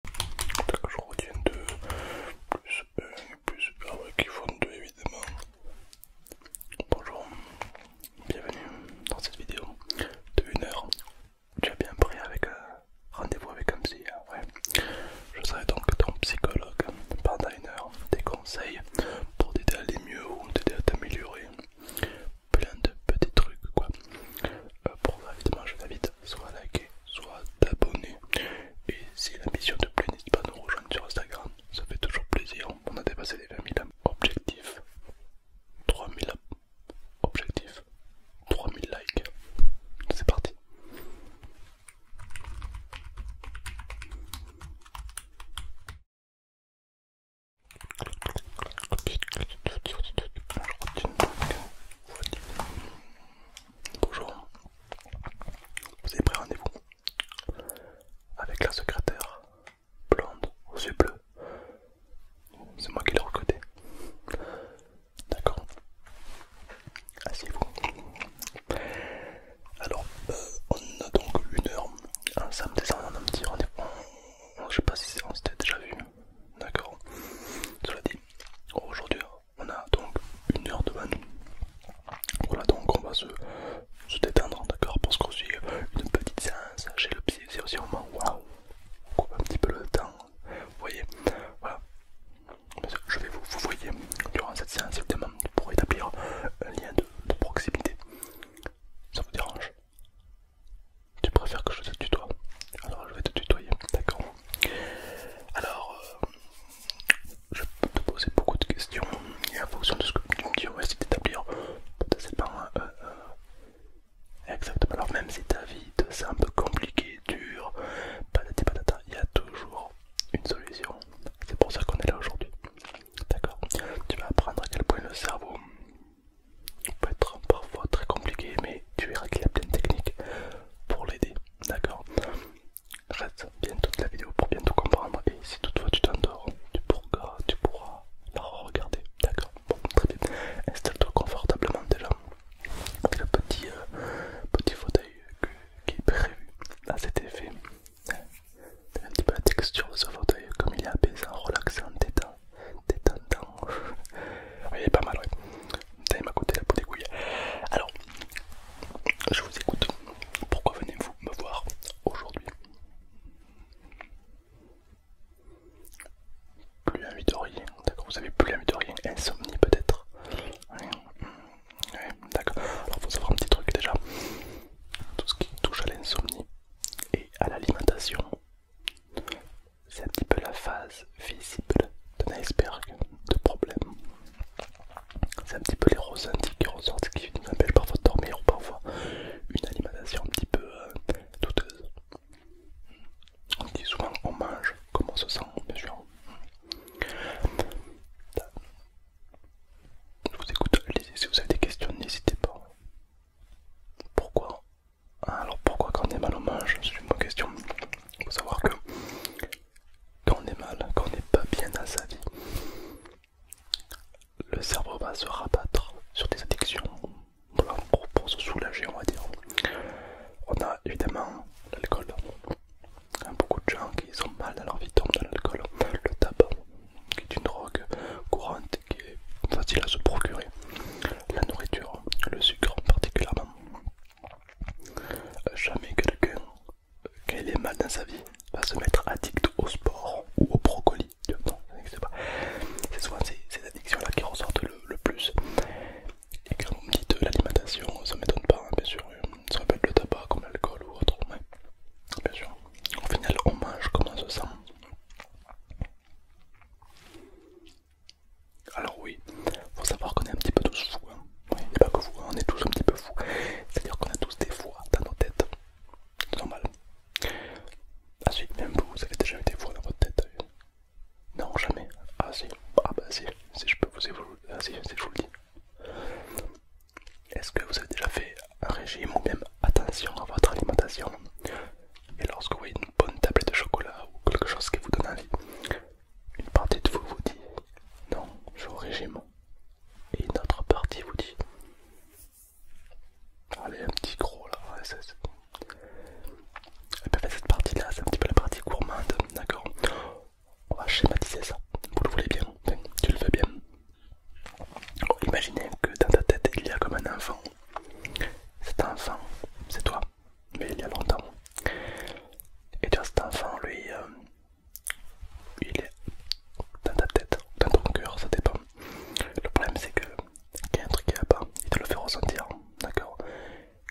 je retiens 2, plus 1, plus 1, qui font 2 évidemment. Bonjour, bienvenue dans cette vidéo de 1 heure. Tu as bien pris avec euh, rendez-vous avec un psy, hein, ouais. Je serai donc ton psychologue pendant une heure, des conseils pour t'aider à aller mieux ou t'aider à t'améliorer. Plein de petits trucs quoi. Euh, pour ça évidemment je t'invite soit liker, soit d'abonner. Et si mission te plaît, n'hésite pas à nous rejoindre sur Instagram, ça fait toujours plaisir. On a dépassé les 20 000 objectifs, 3000 objectifs, 3000 likes. C'est parti. Bonjour, vous avez pris rendez-vous avec la secrétaire blonde aux yeux bleus. C'est moi qui l'ai recrutée. D'accord. Asseyez-vous. Alors, euh, on a donc une heure. Un samedi, ça, un petit rendez-vous. Je sais pas si on s'était déjà vu. D'accord. Cela dit, aujourd'hui, on a donc une heure devant nous. Voilà, donc on va se, détendre, d'accord Parce qu'on suit une petite séance chez le psy, c'est aussi vraiment moment waouh, on coupe un petit peu le temps, vous voyez, voilà. Je vais vous, vous voyez, durant cette séance, évidemment, pour établir un lien de proximité. Ça vous dérange Tu préfères que je te tutoie Alors je vais te tutoyer, d'accord alors, euh, je peux te poser beaucoup de questions et en fonction de ce que tu me dis, essayer d'établir potentiellement euh, euh, exactement. Alors, même si ta vie te semble compliquée, dure, patati patata, il y a toujours une solution. C'est pour ça qu'on est là aujourd'hui. D'accord Tu vas apprendre à quel point le cerveau peut être parfois très compliqué, mais tu verras qu'il y a plein de techniques pour l'aider. D'accord Reste bien toute la vidéo pour bien tout comprendre et si toutefois tu t'endors, tu pourras, tu pourras la regarder. D'accord Bon, très bien. Installe-toi confortablement déjà avec le petit, euh, fauteuil qui est prévu à cet effet. un petit peu la texture de ce fauteuil comme il est apaisant, relaxant, détendant, détendant, Il est pas mal, ouais. Putain, il m'a coûté la peau des couilles. Alors, je vous écoute. Pourquoi venez-vous me voir aujourd'hui Plus envie de rien, d'accord. Vous avez plus envie de rien, insomnie peut-être. Ouais, d'accord. Alors, faut savoir un petit truc déjà. Tout ce qui touche à l'insomnie et à l'alimentation c'est un petit peu la phase visible d'un iceberg de problèmes. C'est un petit peu les ressentis qui ressortent, qui nous empêche parfois de dormir ou parfois une alimentation un petit peu euh, douteuse. On dit souvent on mange comment on se sent, bien sûr. vous écoute, si vous avez des questions, n'hésitez pas. Pourquoi Alors pourquoi quand on est mal on mange C'est une bonne question. Il faut savoir que quand on est mal, quand on n'est pas bien dans sa vie, le cerveau va se rabattre sur des addictions pour, se soulager, on va dire. On a évidemment l'alcool. Beaucoup de gens qui sont mal dans leur vie tombent dans l'alcool. Le tabac, qui est une drogue courante qui est facile à se procurer. La nourriture, le sucre particulièrement. Euh, jamais quelqu'un euh, quand est mal dans sa vie va se mettre addict au sport ou au brocoli. Non, ça n'existe pas. C'est souvent ces, addictions-là qui ressortent le, plus. Et quand vous me dites euh, l'alimentation, ça m'étonne pas, hein, bien sûr. Ça être le tabac ou l'alcool ou autre. Bien sûr. Au final, on mange comme on se sent. Alors oui, faut savoir qu'on est un petit peu tous fous. Hein. pas que vous, hein, on est tous un petit peu fous. C'est-à-dire qu'on a tous des voix dans nos têtes. C'est normal. Ah si, même vous, vous avez déjà eu des voix dans votre tête. Non, jamais. Ah si, ah bah si, si je peux vous évoluer. Ah si, si je vous le dis. Est-ce que vous avez déjà fait un régime ou même attention à votre alimentation Et lorsque vous voyez une bonne tablette de chocolat ou quelque chose qui vous donne envie, une partie de vous vous dit non, je vais régiment. Et une autre partie vous dit allez, un petit gros là. Eh ben, cette partie-là, c'est un petit peu la partie gourmande, d'accord On va schématiser ça. Vous le voulez bien, tu le veux bien. Oh, imaginez que dans ta tête il y a comme un enfant. Cet enfant, c'est toi mais il y a longtemps. Et tu vois, cet enfant, lui, euh, il est dans ta tête, dans ton cœur, ça dépend. Le problème, c'est que quand il y a un truc qui va pas, il te le fait ressentir, d'accord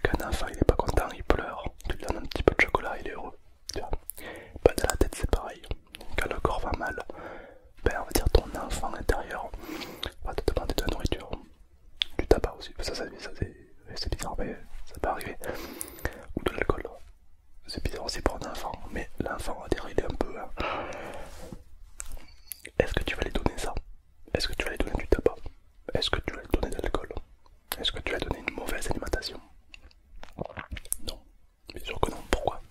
Quand enfant, il est pas content, il pleure, tu lui donnes un petit peu de chocolat, il est heureux, pas Dans la tête, c'est pareil. Quand le corps va mal, ben, on va dire ton enfant intérieur va te demander de la nourriture, du tabac aussi, ça, c'est bizarre, mais ça peut arriver, ou de l'alcool. C'est bizarre aussi pour un enfant, mais l'enfant a est un peu. Hein. Est-ce que tu vas lui donner ça Est-ce que tu vas lui donner du tabac Est-ce que tu vas lui donner de l'alcool Est-ce que tu vas lui donner une mauvaise alimentation Non, bien sûr que non. Pourquoi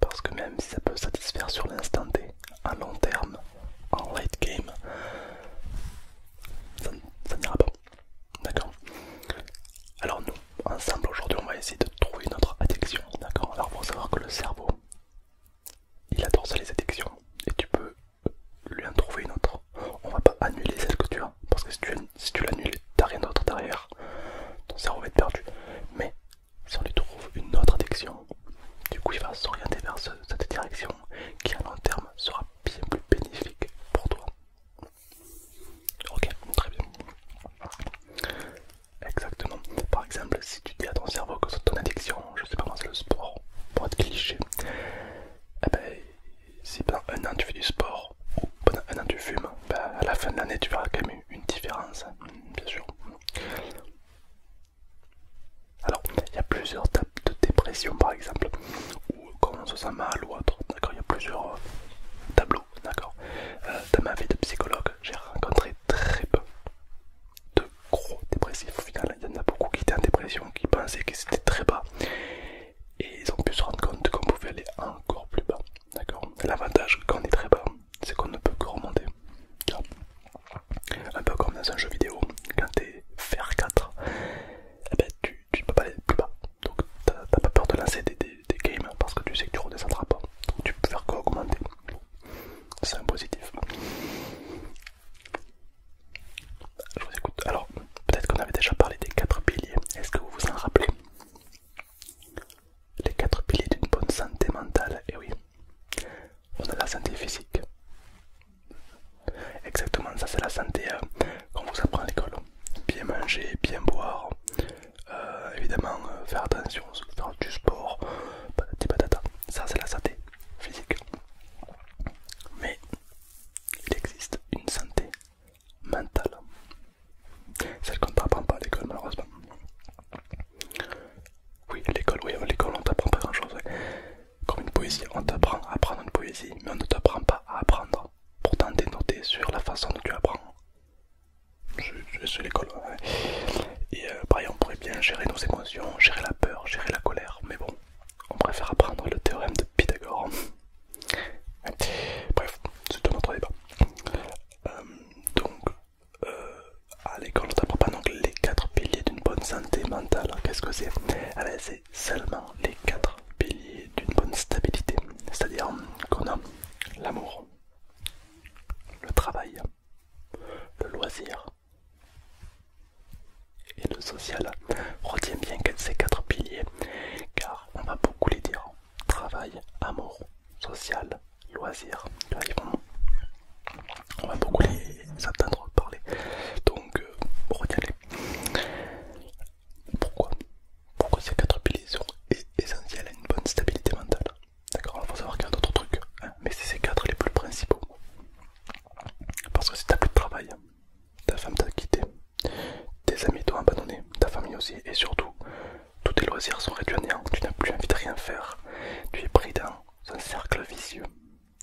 Parce que même si ça peut satisfaire sur l'instant T, à long terme, en late game, ça, n'ira pas. D'accord Alors nous, ensemble aujourd'hui, on va essayer de trouver une autre addiction. D'accord Alors faut savoir que le cerveau, il adore ça les addictions. Et tu peux lui en trouver une autre. On va pas annuler celle que tu as. Parce que si tu, si tu l'annules, t'as rien d'autre derrière. Ton cerveau va être perdu. Mais si on lui trouve une autre addiction, du coup, il va s'orienter vers cette direction qui, à long terme, sera bien plus bénéfique pour toi. Ok, très bien. Exactement. Par exemple, si tu dis à ton cerveau que ton addiction, je sais pas comment c'est le sport, pour être cliché, eh ben, si pendant un an tu fais du sport ou pendant un an tu fumes, ben, à la fin de l'année tu verras quand même une différence, bien sûr. Alors, il y a plusieurs types de dépression, par exemple, ou quand on se sent mal ou autre. D'accord, il y a plusieurs euh, tableaux. D'accord. Euh, dans ma vie de psychologue, j'ai rencontré très peu de gros dépressifs. Au final, il y en a beaucoup qui étaient en dépression, qui pensaient que c'était très bas, et ils ont pu se rendre compte qu'on pouvait aller encore plus bas. D'accord. L'avantage quand on est très bas, c'est qu'on ne peut que remonter. Un peu comme dans un jeu vidéo, quand t'es fr 4, eh ben, tu, ne peux pas aller plus bas. Donc t'as pas peur de lancer des, games parce que tu sais que tu redescendras pas. Donc tu peux faire augmenter. C'est un positif. Je vous écoute. Alors, peut-être qu'on avait déjà parlé des 4 piliers. Est-ce que vous vous en rappelez Les 4 piliers d'une bonne santé mentale, et eh oui on a la santé physique. Exactement, ça c'est la santé euh, qu'on vous apprend à l'école. Bien manger, bien boire, euh, évidemment euh, faire attention, faire du sport, patati patata. Ça c'est la santé physique. Mais il existe une santé mentale, celle qu'on ne t'apprend pas à l'école malheureusement. Oui, l'école, oui, l'école on t'apprend pas grand chose. Comme une poésie, on t'apprend à apprendre une poésie, mais on ne t'apprend pas à apprendre. Pourtant, t'es sur la façon dont tu apprends. C'est l'école. Et euh, pareil, on pourrait bien gérer nos émotions, gérer la peur, gérer la colère, mais bon, on préfère apprendre le théorème de Pythagore. Bref, c'est tout notre débat. Euh, donc, euh, à l'école, on t'apprend pas donc les quatre piliers d'une bonne santé mentale. Qu'est-ce que c'est c'est seulement les quatre piliers d'une bonne stabilité, c'est-à-dire qu'on a l'amour, le travail, le loisir et le social. Retiens bien ces quatre piliers, car on va beaucoup les dire travail, amour, social, loisir on va beaucoup les entendre parler. Donc, euh, regardez. Pourquoi Pourquoi ces quatre piliers sont essentiels à une bonne stabilité mentale D'accord Il faut savoir qu'il y a d'autres trucs, hein, mais c'est ces quatre les plus principaux. Parce que si t'as plus de travail, ta femme t'a quitté, tes amis t'ont abandonné, ta famille aussi, et surtout, tous tes loisirs sont réduits à néant, tu n'as plus envie de rien faire, tu es pris dans un cercle vicieux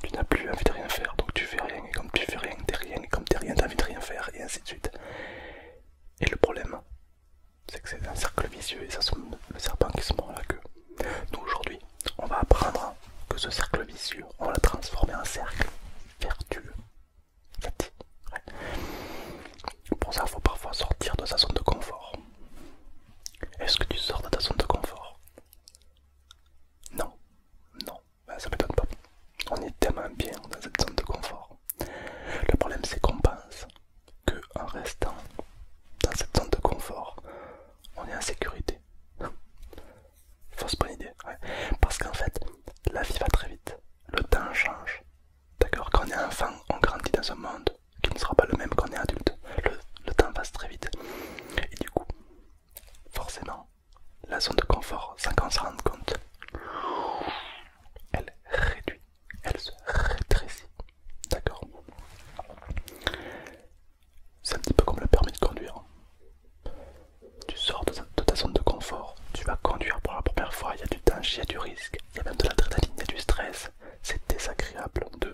tu n'as plus envie de rien faire, donc tu fais rien, et comme tu fais rien, t'es rien, et comme t'es rien, t'as envie de rien faire, et ainsi de suite. Et le problème, c'est que c'est un cercle vicieux, et ça sont le serpent qui se mord la queue. Nous aujourd'hui, on va apprendre que ce cercle vicieux, on va transformé transformer en cercle vertueux. Pour ça, il faut parfois sortir de sa zone de confort. Est-ce que tu sors de ta zone de confort non, non, bah, ça m'étonne pas. On est tellement bien dans cette zone de confort. Le problème c'est qu'on pense que restant dans cette zone de confort, on est en sécurité. Fausse bonne idée. Parce qu'en fait, la vie va très vite. Le temps change. D'accord Quand on est enfant, on grandit dans un monde qui ne sera pas le même qu'on est adulte. le temps passe très vite. Et du coup, Forcément, la zone de confort, sans qu'on se rende compte, elle réduit, elle se rétrécit. D'accord C'est un petit peu comme le permis de conduire. Tu sors de, ta zone de confort, tu vas conduire pour la première fois, il y a du danger, il y a du risque, il y a même de l'adrénaline, il y du stress. C'est désagréable de,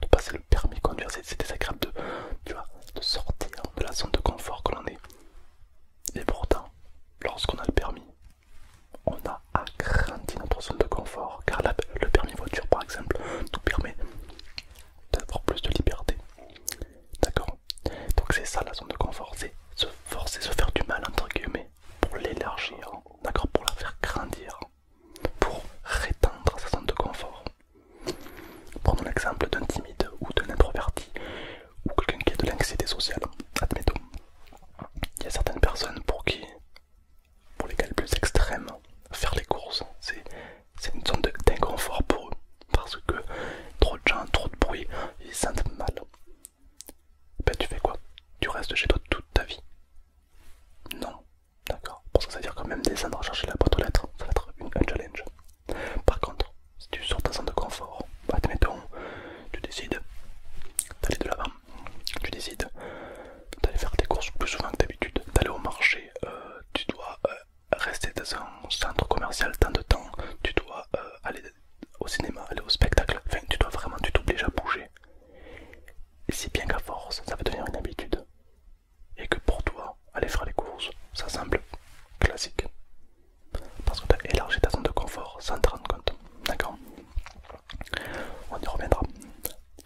de passer permis de conduire, c'est désagréable de, sortir de la zone de confort que l'on est. Et pourtant, lorsqu'on a le permis, on a agrandi notre zone de confort car le permis voiture par exemple tout permet d'avoir plus de liberté. D'accord Donc c'est ça la zone de confort, c'est se forcer, se faire du mal entre guillemets pour l'élargir, d'accord Pour la faire grandir, pour rétendre sa zone de confort. Prenons l'exemple d'un timide ou d'un introverti ou quelqu'un qui a de l'anxiété sociale, admettons. Il y a certaines personnes pour qui, pour plus extrêmes, faire les courses, c'est une zone d'inconfort pour eux parce que trop de gens, trop de bruit, ils se sentent mal. Ben tu fais quoi Tu restes chez toi toute ta vie Non, d'accord. Parce que ça veut dire quand même descendre à chercher la boîte aux lettres, ça va être une, un challenge. Par contre, si tu sors un centre de confort, bah, admettons, tu décides d'aller de l'avant, tu décides d'aller faire tes courses plus souvent que d'habitude, d'aller au marché, euh, tu dois euh, rester dans un centre commercial tant de temps, tu dois euh, aller au cinéma, aller au spectacle, enfin tu dois vraiment, tu t'obliges à bouger. Et si bien qu'à force, ça va devenir une habitude, et que pour toi, aller faire les courses, ça semble classique. Parce que tu as élargi ta zone de confort sans te rendre compte. D'accord On y reviendra.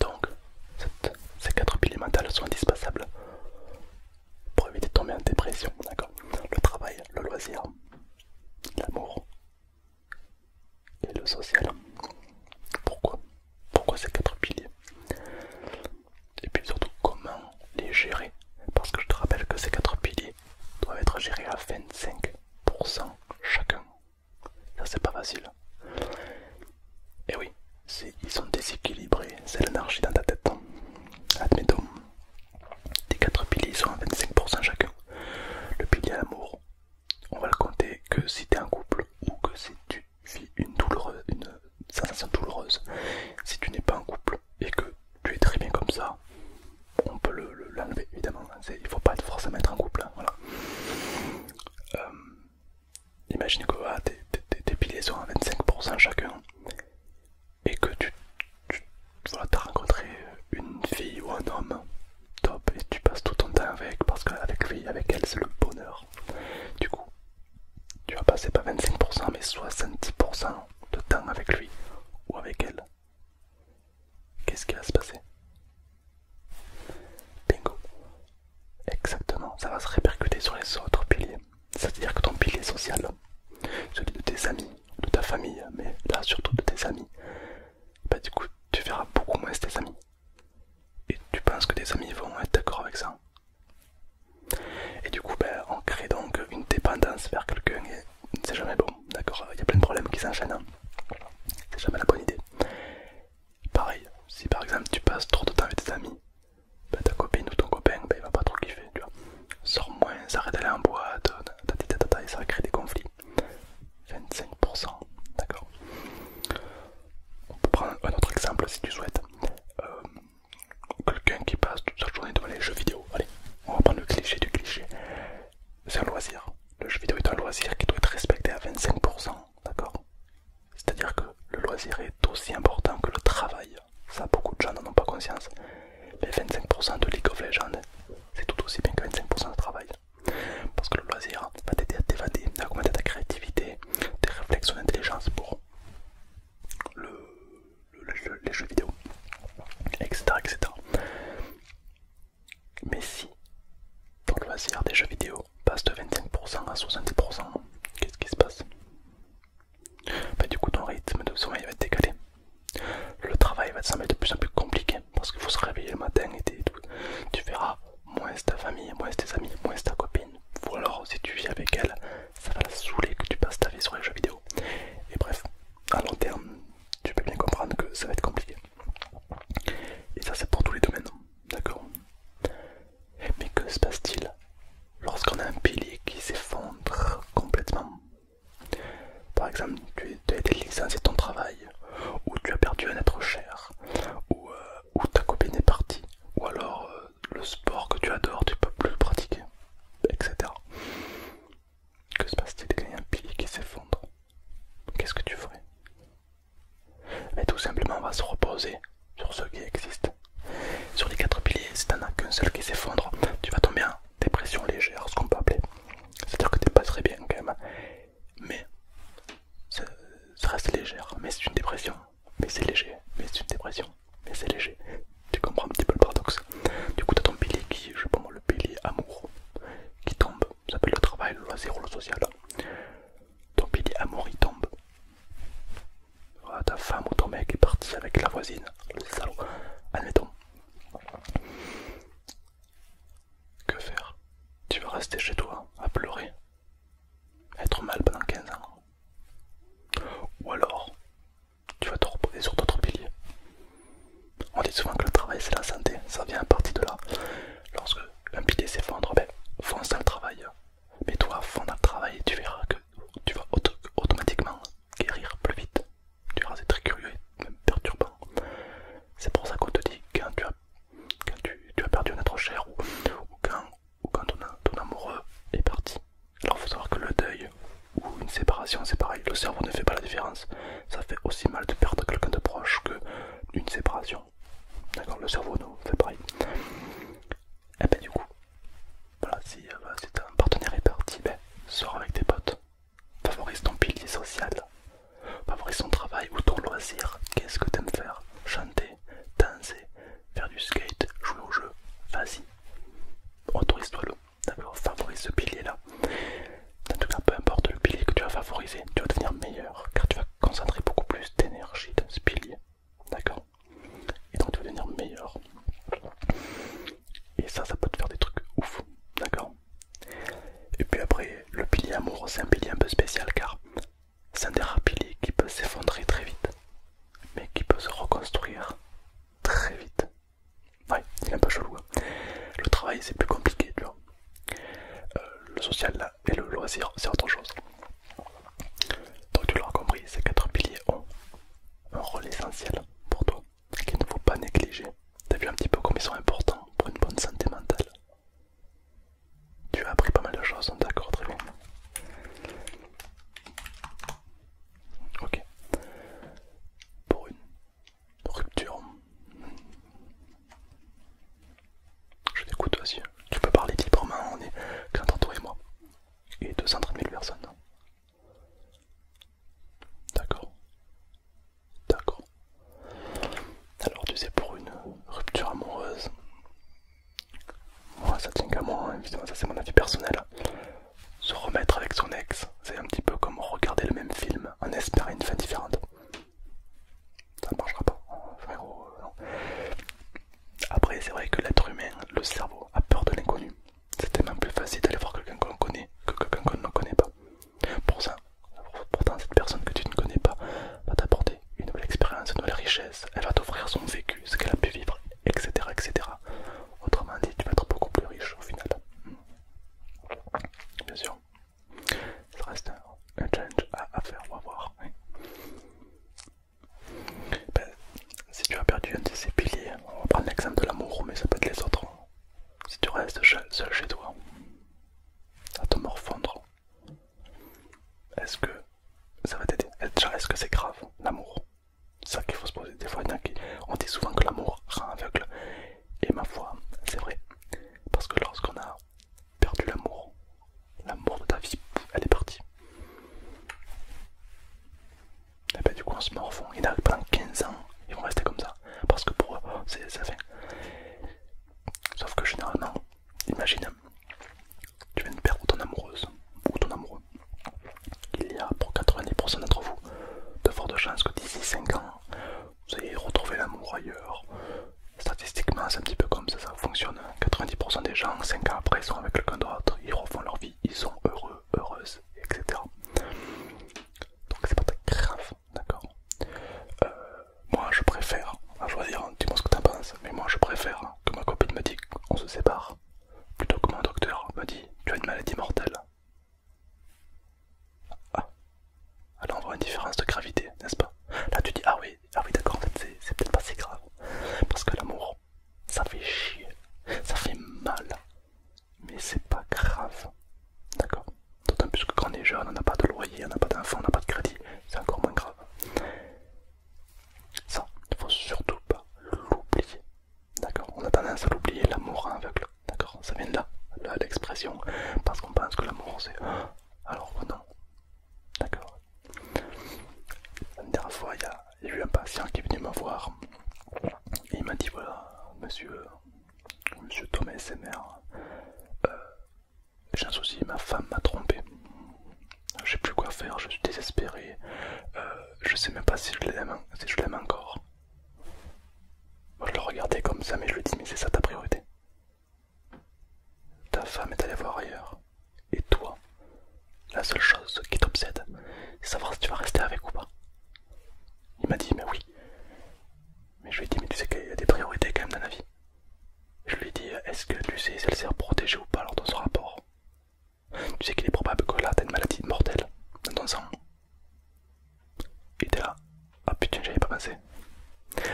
Donc, ces quatre piliers mentaux sont indispensables pour éviter de tomber en dépression. D'accord Le travail, le loisir, l'amour et le social. Pourquoi Pourquoi ces quatre piliers et puis surtout comment les gérer. Parce que je te rappelle que ces quatre piliers doivent être gérés à 25% chacun. Ça c'est pas facile. Et oui, ils sont déséquilibrés, c'est l'anarchie dans ta tête. Admettons, les quatre piliers sont à 25% chacun. Le pilier amour, on va le compter que si t'es en couple ou que c'est tu une, une sensation douloureuse. Si tu n'es pas en couple et que tu es très bien comme ça, on peut l'enlever le, évidemment. Il faut pas forcément être en couple. Hein, voilà. couple. Euh, imagine que ah, tes piliers sont à 25% chacun et que tu, as rencontré une fille ou un homme top et tu passes tout ton temps avec parce qu'avec avec elle, c'est le bonheur. Du coup, tu vas passer pas 25% mais 70% de temps avec lui ou avec elle. Qu'est-ce qui va se passer Bingo. Exactement, ça va se répercuter sur les autres piliers. C'est-à-dire que ton pilier social, celui de tes amis, de ta famille, mais là surtout de tes amis, bah du coup tu verras beaucoup moins tes amis. Et tu penses que tes amis vont être d'accord avec ça et du coup, ben, on crée donc une dépendance vers quelqu'un et c'est jamais bon, d'accord Il y a plein de problèmes qui s'enchaînent, hein. c'est jamais la bonne idée. Pareil, si par exemple tu passes trop de temps avec tes amis, ben, ta copine ou ton copain, ben, il va pas trop kiffer, tu vois. Sors moins, arrête d'aller en boîte, et ça va créer des conflits. 25%, d'accord On peut prendre un autre exemple si tu souhaites. Euh, quelqu'un qui passe toute sa journée devant les jeux vidéo. Allez, on va prendre le cliché du cliché. C'est un loisir. Le jeu vidéo est un loisir qui doit être respecté à 25%, d'accord C'est-à-dire que le loisir est aussi important que le travail. Ça, beaucoup de gens n'en ont pas conscience. Mais 25% de League of Legends, c'est tout aussi bien que 25% de travail. Parce que le loisir va t'aider à t'évader, à augmenter ta créativité, tes réflexes, ton intelligence pour les jeux vidéo, etc., etc. Mais si ton loisir des jeux vidéo passe de 25% à 70%, qu'est-ce qui se passe bah, Du coup, ton rythme de sommeil va être décalé. Le travail va te sembler de plus en plus compliqué parce qu'il faut se réveiller le matin et tout. Tu verras moins ta famille, moins tes amis, moins ta copine. Ou alors, si tu vis avec elle, ça va saouler que tu passes ta vie sur les jeux vidéo. Et bref, à long terme, tu peux bien comprendre que ça va être compliqué. Et ça, c'est pour tous les domaines, d'accord Mais que se passe-t-il lorsqu'on a un pilier qui s'effondre complètement Par exemple, tu as été licencié de ton travail, ou tu as perdu un être cher, ou, euh, ou ta copine est partie, ou alors euh, le sport que tu adores, tu peux plus le pratiquer, etc. Que se passe-t-il un pilier qui s'effondre Qu'est-ce que tu ferais Mais tout simplement, on va se reposer sur ce qui existe. Sur les quatre piliers, si t'en as qu'un seul qui s'effondre, tu vas tomber en dépression légère, ce qu'on peut appeler. C'est-à-dire que tu pas très bien quand même, mais ça reste légère, mais c'est une dépression mais c'est léger, mais c'est une dépression, mais c'est léger. Tu comprends un petit peu le paradoxe. Du coup, t'as ton pilier qui, je sais pas le pilier amour qui tombe, ça s'appelle le travail, le loisir le social. Ton pilier amour il tombe. Ah, ta femme ou ton mec est parti avec la voisine, le salaud, admettons. Que faire Tu vas rester chez toi à pleurer, être mal pendant 15 ans, ou alors, tu vas te reposer sur d'autres piliers. On dit souvent que le travail c'est la santé, ça vient à partir de là. Lorsque un pilier s'effondre, ben, fonce dans le travail. Mais toi, fonce dans le travail tu verras que tu vas automatiquement guérir plus vite. Tu verras, c'est très curieux et même perturbant. C'est pour ça qu'on te dit quand tu as, perdu un être cher ou quand ou quand ton, amoureux est parti. Alors faut savoir que le deuil ou une séparation c'est pareil, le cerveau ne fait pas la différence. Ça fait aussi mal de perdre quelqu'un de proche que une séparation. D'accord, le cerveau nous fait pareil. Et eh ben du coup, euh, voilà, si, ton partenaire est parti, mais ben, sors avec tes potes. Favorise ton pilier social, favorise ton travail ou ton loisir. Qu'est-ce que t'aimes faire Chanter, danser, faire du skate, jouer au jeu, vas-y, autorise-toi-le, favorise ce pilier-là. En tout cas, peu importe le pilier que tu vas favoriser, tu vas devenir meilleur, car tu vas concentrer beaucoup plus d'énergie dans ce pilier, d'accord Et donc tu vas devenir meilleur. Et ça, ça peut te faire des trucs ouf, d'accord Et puis après, le pilier amour, c'est un pilier un peu spécial, car c'est un des rares piliers qui peut s'effondrer très vite, mais qui peut se reconstruire très vite. Ouais, il est un peu chelou. Hein. Le travail, c'est plus compliqué, tu vois. Euh, le social et le loisir, c'est autre chose. Donc tu l'auras compris, ces quatre piliers ont un rôle essentiel pour toi qu'il ne faut pas négliger. T'as vu un petit peu comme ils sont importants pour une bonne santé mentale. Tu as appris pas mal de choses, d'accord, très bien. Ok. Pour une rupture. Je t'écoute aussi. Tu peux parler librement, on est qu'entre toi et moi. Et 230 000 personnes. D'accord. D'accord. Alors tu sais, pour une rupture amoureuse, moi, oh, ça tient qu'à moi, hein, évidemment, ça c'est mon avis personnel. Se remettre avec son ex, c'est un petit peu comme regarder le même film en espérant une fin différente. Ça ne marchera pas, euh, Après, c'est vrai que l'être humain, le cerveau, a peur de l'inconnu. C'est tellement plus facile d'aller voir quelqu'un qu'on connaît que quelqu'un qu'on ne connaît pas. Pour ça, pourtant, cette personne que tu ne connais pas va t'apporter une nouvelle expérience, une nouvelle richesse. Elle va t'offrir son vécu, ce qu'elle a pu vivre, etc., etc. Autrement dit, tu vas être beaucoup plus riche au final. Bien sûr, ça reste un, challenge à, faire on va voir. Ben, si tu as perdu un de ces piliers, on va prendre l'exemple de l'amour, mais ça peut être les autres. Si tu restes seul chez toi, à te morfondre, est-ce que ça va t'aider Est-ce que c'est grave l'amour ça qu'il faut se poser. Des fois, on dit souvent que l'amour rend aveugle. Et ma foi, c'est vrai. Parce que lorsqu'on a perdu l'amour, l'amour de ta vie, elle est partie. Et eh ben du coup, on se morfond. Il y en pendant 15 ans, ils vont rester comme ça. Parce que pour eux, c'est la fin. Sauf que généralement, imagine, tu viens de perdre ton amoureuse ou ton amoureux. Il y a pour 90% d'entre vous de fortes chances que d'ici 5 ans, vous ayez retrouvé l'amour ailleurs. Statistiquement, c'est un petit peu comme ça, ça fonctionne. 90% des gens, 5 ans après, sont avec quelqu'un d'autre, ils refont leur vie, ils sont heureux, heureuses, etc. Donc c'est pas très grave, d'accord euh, Moi je préfère, à choisir, hein, dis-moi ce que t'en penses, mais moi je préfère que ma copine me dise qu'on se sépare plutôt que mon docteur, me dit Tu as une maladie mortelle. Ah, alors on voit une différence de gravité, n'est-ce pas Là tu dis Ah oui, ah oui d'accord, en c'est peut-être pas si grave. Parce que l'amour, ça fait chier, ça fait mal, mais c'est pas grave. D'accord D'autant plus que quand on est jeune, on n'a pas de loyer, on n'a pas d'enfant, on n'a pas de crédit, c'est encore moins grave. Ça, il faut surtout pas l'oublier. D'accord On a tendance à l'oublier, l'amour aveugle. D'accord Ça vient de là, l'expression, parce qu'on pense que l'amour c'est... Ah, alors que oh non. D'accord La dernière fois, il y, a, eu un patient qui est venu me voir. Et il m'a dit, voilà, monsieur, monsieur Thomas SMR, euh, j'ai un souci, ma femme m'a trompé. Je sais plus quoi faire, je suis désespéré. Euh, je sais même pas si je l'aime si je l'aime encore. je le regardais comme ça, mais je lui dit mais c'est ça ta priorité. Ta femme est allée voir ailleurs. Et toi, la seule chose qui t'obsède, c'est savoir si tu vas rester avec ou pas. Il m'a dit mais oui. Mais je lui ai dit mais tu sais qu'il y a des priorités quand même dans la vie. Je lui ai dit est-ce que tu sais si elle sert protégée ou pas lors de ce rapport tu sais qu'il est probable que là t'as une maladie mortelle dans ton sang. Et t'es là. Ah putain, avais pas pensé.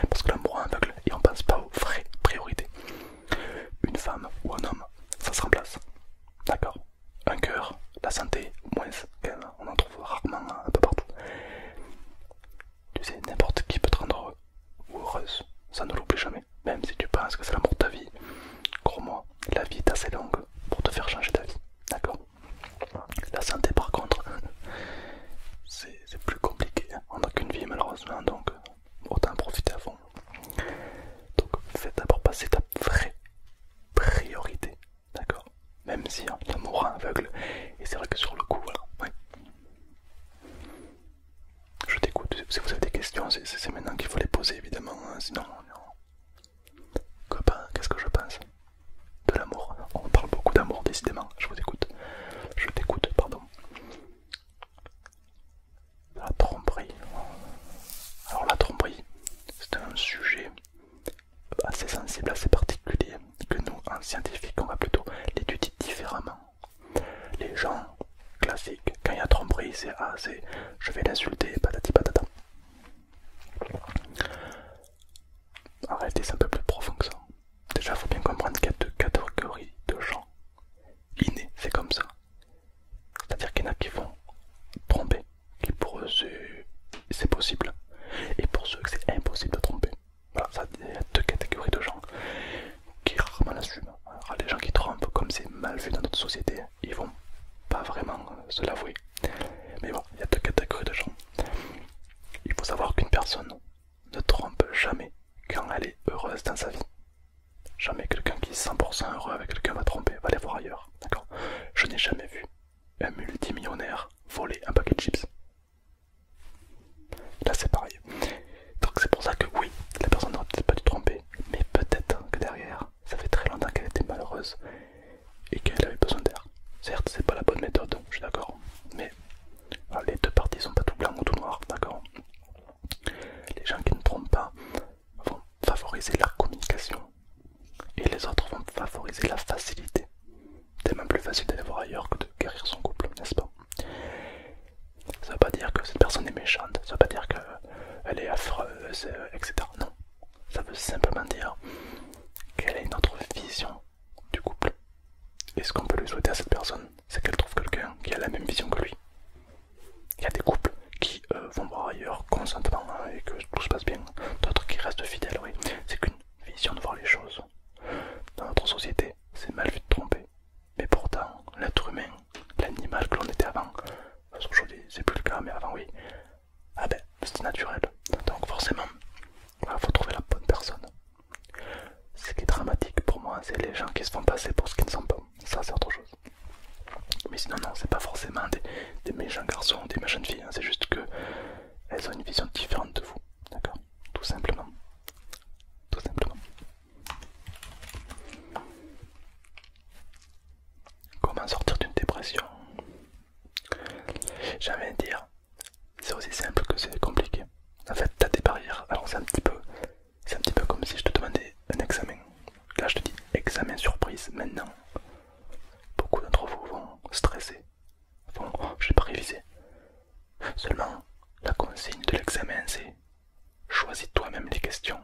Parce que l'amour aveugle et on pense pas aux vraies priorités. Une femme ou un homme, ça se remplace. D'accord Un cœur, la santé, moins, on en trouve rarement un peu partout. Tu sais, n'importe qui peut te rendre heureux ou heureuse, ça ne l'oublie jamais même si tu penses que c'est l'amour de ta vie. Crois-moi, la vie est assez longue pour te faire changer vie, D'accord La santé, par contre, euh, c'est plus compliqué. On hein, n'a qu'une vie, malheureusement, donc euh, autant en profiter à fond. Donc, fais d'abord passer ta vraie priorité. D'accord Même si on hein, mourra aveugle, et c'est vrai que sur le coup, voilà. Ouais. Je t'écoute. Si vous avez des questions, c'est maintenant qu'il faut les poser, évidemment. Hein. Sinon, qu'est-ce que je pense De l'amour. On parle beaucoup d'amour, décidément. Je vous écoute. Je t'écoute, pardon. La tromperie. Alors, la tromperie, c'est un sujet assez sensible, assez particulier, que nous, en scientifique, on va plutôt l'étudier différemment. Les gens classique. Quand il y a tromperie, c'est ah, c'est je vais l'insulter, patati patata. En réalité, c'est un peu plus profond que ça. Déjà, faut bien comprendre qu'il y a deux catégories de gens innés, c'est comme ça. C'est-à-dire qu'il y en a qui vont tromper, qui pour eux c'est possible, et pour ceux que c'est impossible de tromper. Voilà, il y a deux catégories de gens qui rarement l'assument. Alors, les gens qui trompent, comme c'est mal vu dans notre société, ils vont pas vraiment euh, se l'avouer. Mais bon, il y a deux catégories de gens. Il faut savoir qu'une personne ne trompe jamais quand elle est heureuse dans sa vie. Jamais quelqu'un qui est 100% heureux avec quelqu'un va tromper, va les voir ailleurs. D'accord Je n'ai jamais vu un multimillionnaire voler un paquet de chips. Là c'est pareil. Donc c'est pour ça que oui, la personne n'aurait peut-être pas dû tromper, mais peut-être que derrière, ça fait très longtemps qu'elle était malheureuse et qu'elle avait besoin d'air. Certes, c'est pas la bonne méthode, je suis d'accord, mais les deux parties sont pas tout blanc ou tout noir, d'accord Les gens qui ne trompent pas vont favoriser la communication et les autres vont favoriser la facilité. C'est même plus facile d'aller voir ailleurs que de guérir son couple, n'est-ce pas Ça veut pas dire que cette personne est méchante, ça veut pas dire que euh, elle est affreuse, euh, etc. Non, ça veut simplement dire quelle est notre vision du couple. Et ce qu'on peut lui souhaiter à cette personne, c'est qu'elle trouve quelqu'un qui a la même vision que lui. Il y a des couples qui euh, vont voir ailleurs consentement hein, et que tout se passe bien, d'autres qui restent fidèles, oui. C'est qu'une vision de voir les choses. Dans notre société, c'est mal vu de tromper. Mais pourtant, l'être humain l'animal que l'on était avant. Parce qu'aujourd'hui, c'est plus le cas, mais avant, oui. Ah ben, c'est naturel. Donc, forcément, il faut trouver la bonne personne. Ce qui est dramatique pour moi, c'est les gens qui se font passer pour ce qu'ils ne sont pas. Ça, c'est autre chose. Mais sinon, non, c'est pas forcément des, méchants garçons ou des méchantes filles. Hein. C'est juste que elles ont une vision différente de vous. D'accord Tout simplement. Tout simplement. Comment sortir d'une dépression J'ai envie de dire, c'est aussi simple que c'est compliqué. En fait, t'as des barrières. Alors c'est un petit peu, c'est un petit peu comme si je te demandais un examen. Là, je te dis examen surprise. Maintenant, beaucoup d'entre vous vont stresser, vont, ne oh, j'ai pas révisé. Seulement, la consigne de l'examen, c'est choisis toi-même les questions.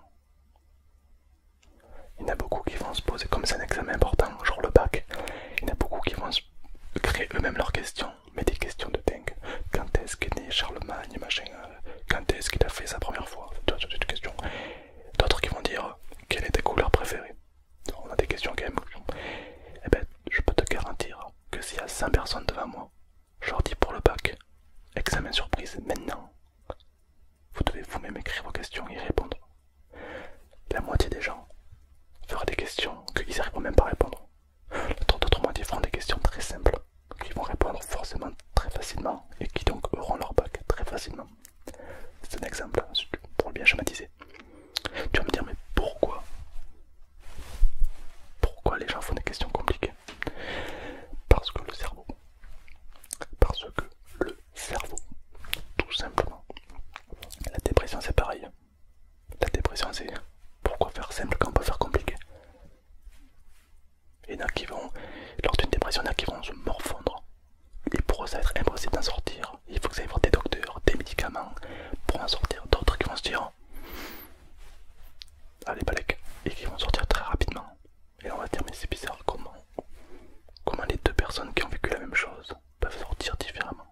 Il y en a beaucoup qui vont se poser, comme c'est un examen important, genre le bac, il y en a beaucoup qui vont créer eux-mêmes leurs questions, mais des questions de dingue. Quand est-ce qu'est né Charlemagne, machin, euh, quand est-ce qu'il a fait sa première fois D'autres D'autres qui vont dire quelle est ta couleur préférée On a des questions quand même. Eh ben, je peux te garantir que s'il y a 100 personnes devant moi, je leur dis pour le bac, examen surprise maintenant, vous devez vous-même écrire vos questions et répondre. La moitié des gens fera des questions qu'ils n'arriveront même pas à répondre. L'autre d'autres moitié feront des questions très simples, qu'ils vont répondre forcément très facilement et qui donc auront leur bac très facilement. C'est un exemple pour le bien schématiser. Tu vas me dire mais pourquoi Pourquoi les gens font des questions compliquées parce que le cerveau, parce que le cerveau, tout simplement. La dépression c'est pareil. La dépression c'est pourquoi faire simple quand on peut faire compliqué. et y en qui vont, lors d'une dépression, il y en a qui vont se morfondre. il pourrait être impossible d'en sortir. Il faut que ça aille voir des docteurs, des médicaments pour en sortir. D'autres qui vont se dire Allez, balèque, et qui vont sortir très rapidement. Et on va dire, mais c'est bizarre, comment, comment les deux personnes qui ont vécu la même chose peuvent sortir différemment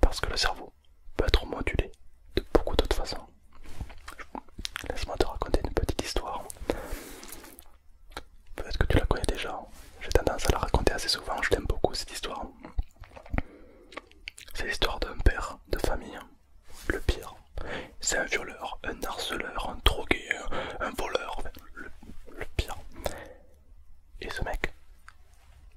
Parce que le cerveau peut être modulé de beaucoup d'autres façons. Laisse-moi te raconter une petite histoire. Peut-être que tu la connais déjà. J'ai tendance à la raconter assez souvent. Je t'aime beaucoup cette histoire. C'est l'histoire d'un père de famille le pire. C'est un violeur, un harceleur, un drogué, un, voleur, le, pire. Et ce mec,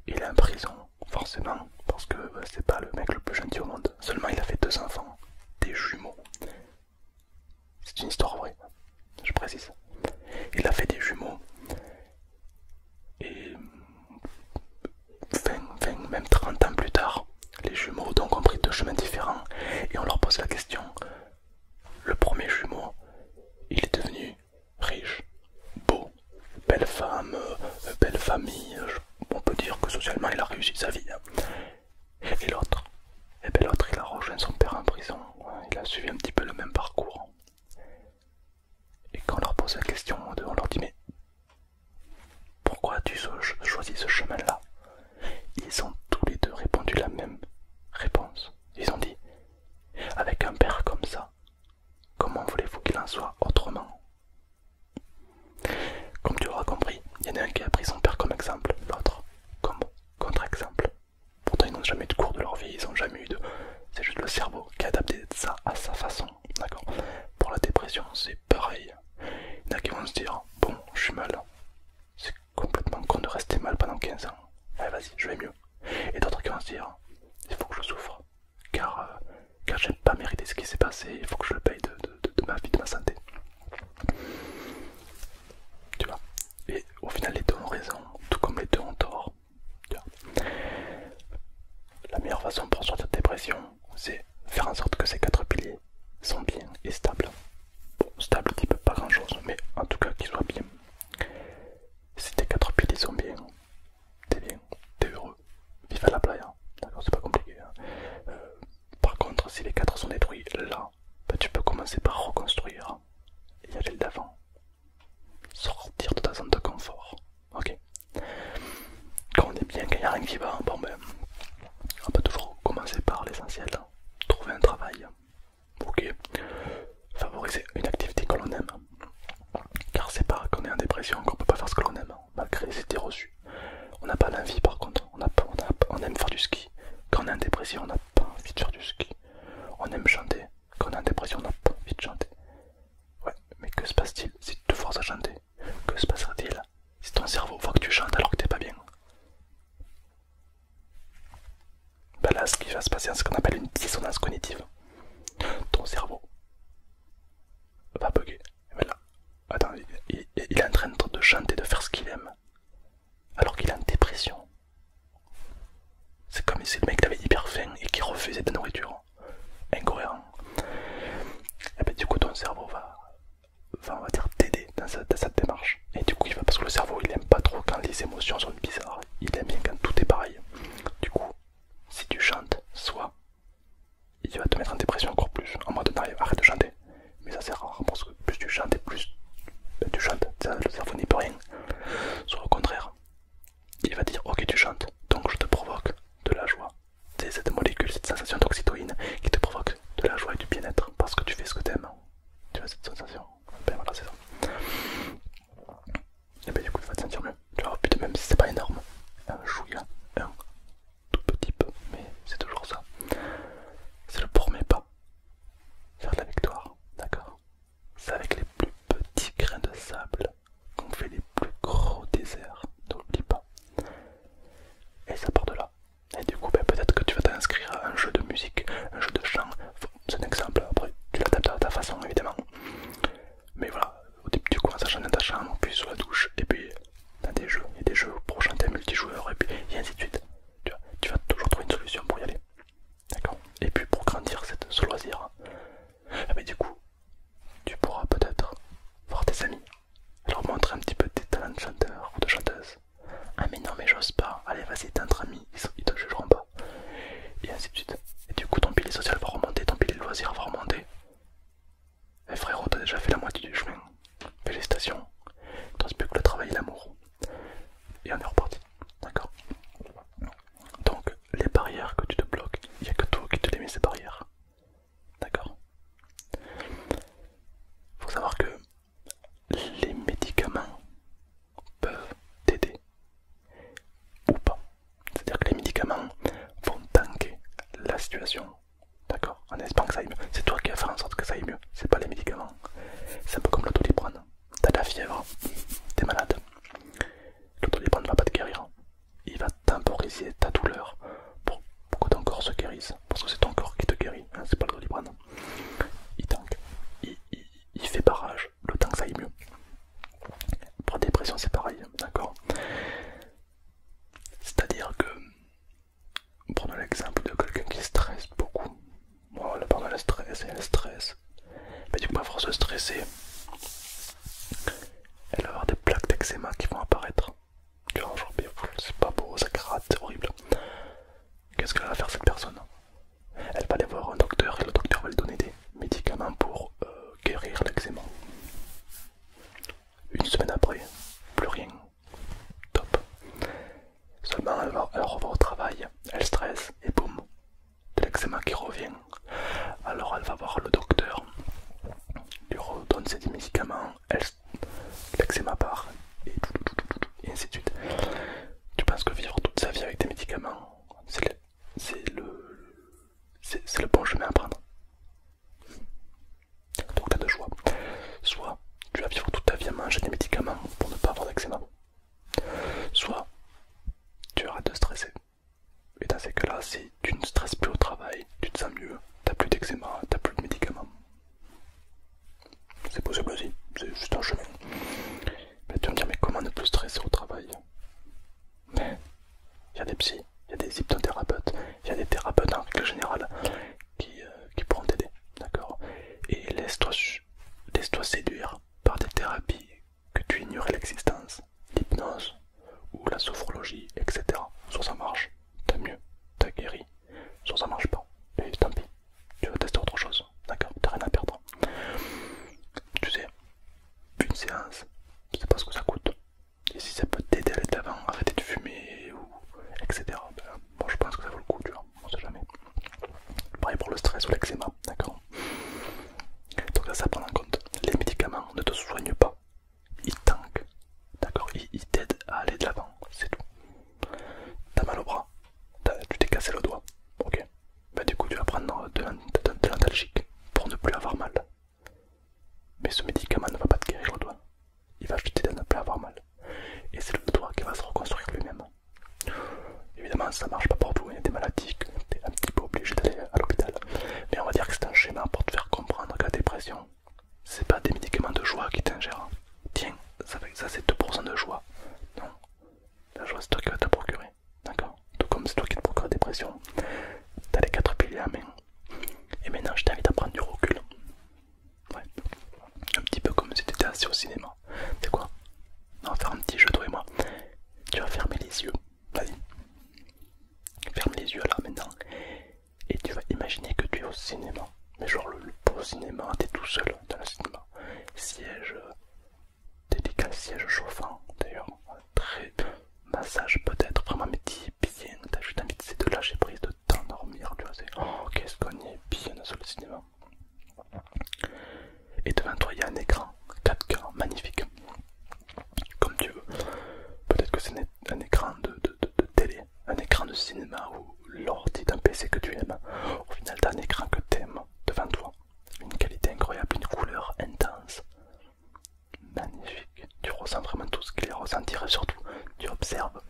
il est en prison, forcément, parce que bah, c'est pas le mec le plus gentil au monde. Seulement, il a fait deux enfants, des jumeaux. C'est une histoire vraie, je précise. Il a fait des jumeaux. Et 20, même 30 ans plus tard, les jumeaux donc ont pris deux chemins différents et on leur pose la question. Le premier jumeau, il est devenu riche, beau, belle femme, euh, belle famille. On peut dire que socialement il a réussi sa vie. Et l'autre, et eh bien l'autre il a rejoint son père en prison. Il a suivi un petit peu le même parcours. Et quand on leur pose la question, on leur dit mais pourquoi as-tu choisi ce chemin-là Ils ont tous les deux répondu la même réponse. Ils ont dit Avec un père comme ça, comment voulez-vous qu'il en soit autrement Comme tu auras compris, il y en a un qui a pris son père comme exemple, l'autre comme contre-exemple. Pourtant, ils n'ont jamais eu de cours de leur vie, ils n'ont jamais eu de. C'est juste le cerveau qui a adapté ça à sa façon. D'accord Pour la dépression, c'est pareil. Il y en a qui vont se dire Bon, je suis mal, c'est complètement con de rester mal pendant 15 ans. vas-y, je vais mieux. Et d'autres qui vont se dire il faut que je souffre, car, je euh, car pas mériter ce qui s'est passé, il faut que je le paye de, ma vie, de ma santé. Tu vois Et au final, les deux ont raison, tout comme les deux ont tort. la meilleure façon pour sortir de dépression, c'est faire en sorte que ces quatre piliers sont bien et stables. Bon, stable qui peut pas grand chose, mais en tout cas qu'ils soient bien. Si tes 4 piliers sont bien, t'es bien, t'es heureux, vive à la playa, d'accord, c'est pas compliqué. Hein. Euh, par contre, si les quatre sont détruits là, bah, tu peux commencer par reconstruire et aller d'avant, sortir de ta zone de confort, ok. Quand on est bien, qu'il n'y a rien qui va, bon ben on peut toujours commencer par l'essentiel, hein. trouver un travail, ok, favoriser une activité que l'on aime. Car c'est pas qu'on est en dépression qu'on peut pas faire ce que l'on aime, hein, malgré les idées reçues. On n'a pas l'envie par contre, on, aime faire du ski. Quand on est en dépression, on n'a pas envie de faire du ski. On aime chanter. Quand on est en dépression, on n'a pas envie de chanter. Ouais, mais que se passe-t-il si tu te forces à chanter Que se passera-t-il si ton cerveau voit que tu chantes alors que t'es pas bien bah là, ce qui va se passer, c'est ce qu'on appelle une dissonance cognitive. Ton cerveau va bugger. Attends, il, est en train de chanter, de faire ce qu'il aime, alors qu'il est en dépression. C'est comme si le mec avait hyper faim et qui refusait de nourriture. Incohérent. Et eh bah, ben, du coup, ton cerveau va, on va dire t'aider dans, cette démarche. Et du coup il va parce que le cerveau il aime pas trop quand les émotions sont bizarres, il aime bien quand tout est pareil. Du coup si tu chantes, soit il va te mettre en dépression encore plus, en mode non, arrête de chanter. Mais ça c'est rare parce que plus tu chantes et plus ben, tu chantes, ça, le cerveau n'y peut rien. Soit au contraire, il va dire ok tu chantes, donc je te provoque de la joie. C'est cette molécule, cette sensation d'oxytoïne qui te provoque de la joie et du bien-être parce que tu fais ce que tu aimes. Tu as cette sensation. Ben voilà, c'est ça. Et ben du coup, il va te sentir mieux. Tu vas au plus même si c'est pas énorme. Un chouïa, un tout petit peu, mais c'est toujours ça. C'est le premier pas vers la victoire, d'accord C'est avec les plus petits grains de sable qu'on fait les plus gros déserts, n'oublie pas. Et ça part de là, et du coup, ben, peut-être que tu vas t'inscrire à un jeu de musique, un jeu de chant. C'est un exemple, après tu l'adaptes à ta façon évidemment. Mais voilà, au début tu commences à chanter ta chambre, puis sous la douche, et puis dans des jeux, il y a des jeux pour chanter multijoueur, et puis ainsi de suite. Tu, vas toujours trouver une solution pour y aller. D'accord Et puis pour grandir ce loisir, ah, du coup, tu pourras peut-être voir tes amis, leur montrer un petit peu tes talents de chanteur ou de chanteuse, ah mais non mais j'ose pas, allez vas-y t'es entre amis, ils, te jugeront pas. Et ainsi de suite. Et du coup ton pilier social va remonter, ton pilier loisirs va remonter. Eh frérot, t'as déjà fait la moitié du chemin. Félicitations. t'as plus que le travail et l'amour. Et on est reparti. D'accord Donc les barrières que tu te bloques, il n'y a que toi qui te les mets ces barrières. D'accord Faut savoir que les médicaments peuvent t'aider ou pas. C'est-à-dire que les médicaments vont tanker la situation. D'accord En espérant que ça aille mieux. C'est toi qui vas faire en sorte que ça aille mieux. C'est pas les médicaments. C'est un peu comme l'autoliprane. T'as de la fièvre, t'es malade. L'autoliprane ne va pas te guérir. Il va temporiser ta douleur pour que ton corps se guérisse parce que c'est ton corps qui te guérit, hein, c'est pas le doliprane. Il il, fait barrage, le temps que ça aille mieux. Pour la dépression, c'est pareil, hein, d'accord C'est-à-dire que, prenons l'exemple de quelqu'un qui stresse beaucoup, pas pendant le stress, elle stresse, mais du coup, à force de stresser, elle va avoir des plaques d'eczéma qui vont apparaître. Tu c'est pas beau, ça gratte, c'est horrible. Qu'est-ce qu'elle va faire cette personne Elle va aller voir un docteur et le docteur va lui donner des médicaments pour euh, guérir l'eczéma. Une semaine après, plus rien. Top. Seulement, elle, va, au travail, elle stresse et boum, de l'eczéma qui revient. Alors, elle va voir le docteur, lui redonne ses médicaments, elle l'eczéma part, et, ainsi de suite. Tu penses que vivre toute sa vie avec des médicaments, c'est le, bon chemin à prendre Donc tu as deux choix. Soit tu vas vivre toute ta vie à manger des médicaments pour ne pas avoir d'eczéma. Soit tu arrêtes de stresser. Et dans ces cas-là, si tu ne stresses plus au travail, tu te sens mieux, t'as plus d'eczéma, t'as plus de médicaments. C'est possible aussi, c'est juste un chemin. Mais tu me dire, mais comment ne plus stresser au travail il y a des psys, il y a des hypnothérapeutes, il y a des thérapeutes en règle générale qui, euh, pourront t'aider, d'accord Et laisse-toi séduire par des thérapies que tu ignorais l'existence, l'hypnose ou la sophrologie, etc. soit ça marche t'as mieux, t'as guéri. Soit ça marche pas, et tant pis, tu vas tester autre chose, d'accord T'as rien à perdre. Tu sais, une séance, sais pas ce que ça coûte. Et si ça peut t'aider à aller de l'avant, arrêter de fumer, ou etc. Ben, je pense que ça vaut le coup, tu vois, on sait jamais. Pareil pour le stress ou l'eczéma, d'accord Donc là, ça prend en compte. Les médicaments ne te soignent pas, ils tankent, d'accord ils t'aident à aller de l'avant, c'est tout. T'as mal au bras. Tu t'es cassé le doigt. Ok. Bah, du coup tu vas prendre de, l'antalgique pour ne plus avoir mal. Mais ce médicament ne va pas te guérir le doigt. Il va juste t'aider à ne plus avoir mal. Et c'est le doigt qui va se reconstruire lui-même. Évidemment ça marche pas pour tout, hein. il y a des maladies t'es un petit peu obligé d'aller à l'hôpital. Mais on va dire que c'est un schéma pour te faire comprendre que la dépression, c'est pas des médicaments de joie qui t'ingèrent. Tiens, ça, ça c'est 2% de joie. Non, la joie c'est toi qui vas te procurer. D'accord Tout comme c'est toi qui te procure la dépression. T'as les quatre piliers à main. Et maintenant, je t'invite à prendre du recul. Ouais. Un petit peu comme si tu étais assis au cinéma. C'est quoi On va faire un petit jeu, toi et moi. Tu vas fermer les yeux. Vas-y. Ferme les yeux là maintenant et tu vas imaginer que tu es au cinéma, mais genre le, beau cinéma, t'es tout seul dans le cinéma, siège euh, délicat, siège chauffant d'ailleurs, très massage peut-être, vraiment mais dis bien, t'as juste envie de lâcher prise, de t'endormir, tu vois, c'est oh qu'est-ce qu'on y est bien dans le cinéma. Et devant toi il y a un écran 4K magnifique, comme tu veux. Peut-être que c'est un écran de télé, un écran de cinéma ou l'ordi d'un PC que tu aimes. Au final, d'un un écran que tu aimes devant toi. Une qualité incroyable, une couleur intense. Magnifique. Tu ressens vraiment tout ce qu'il est ressenti et surtout, tu observes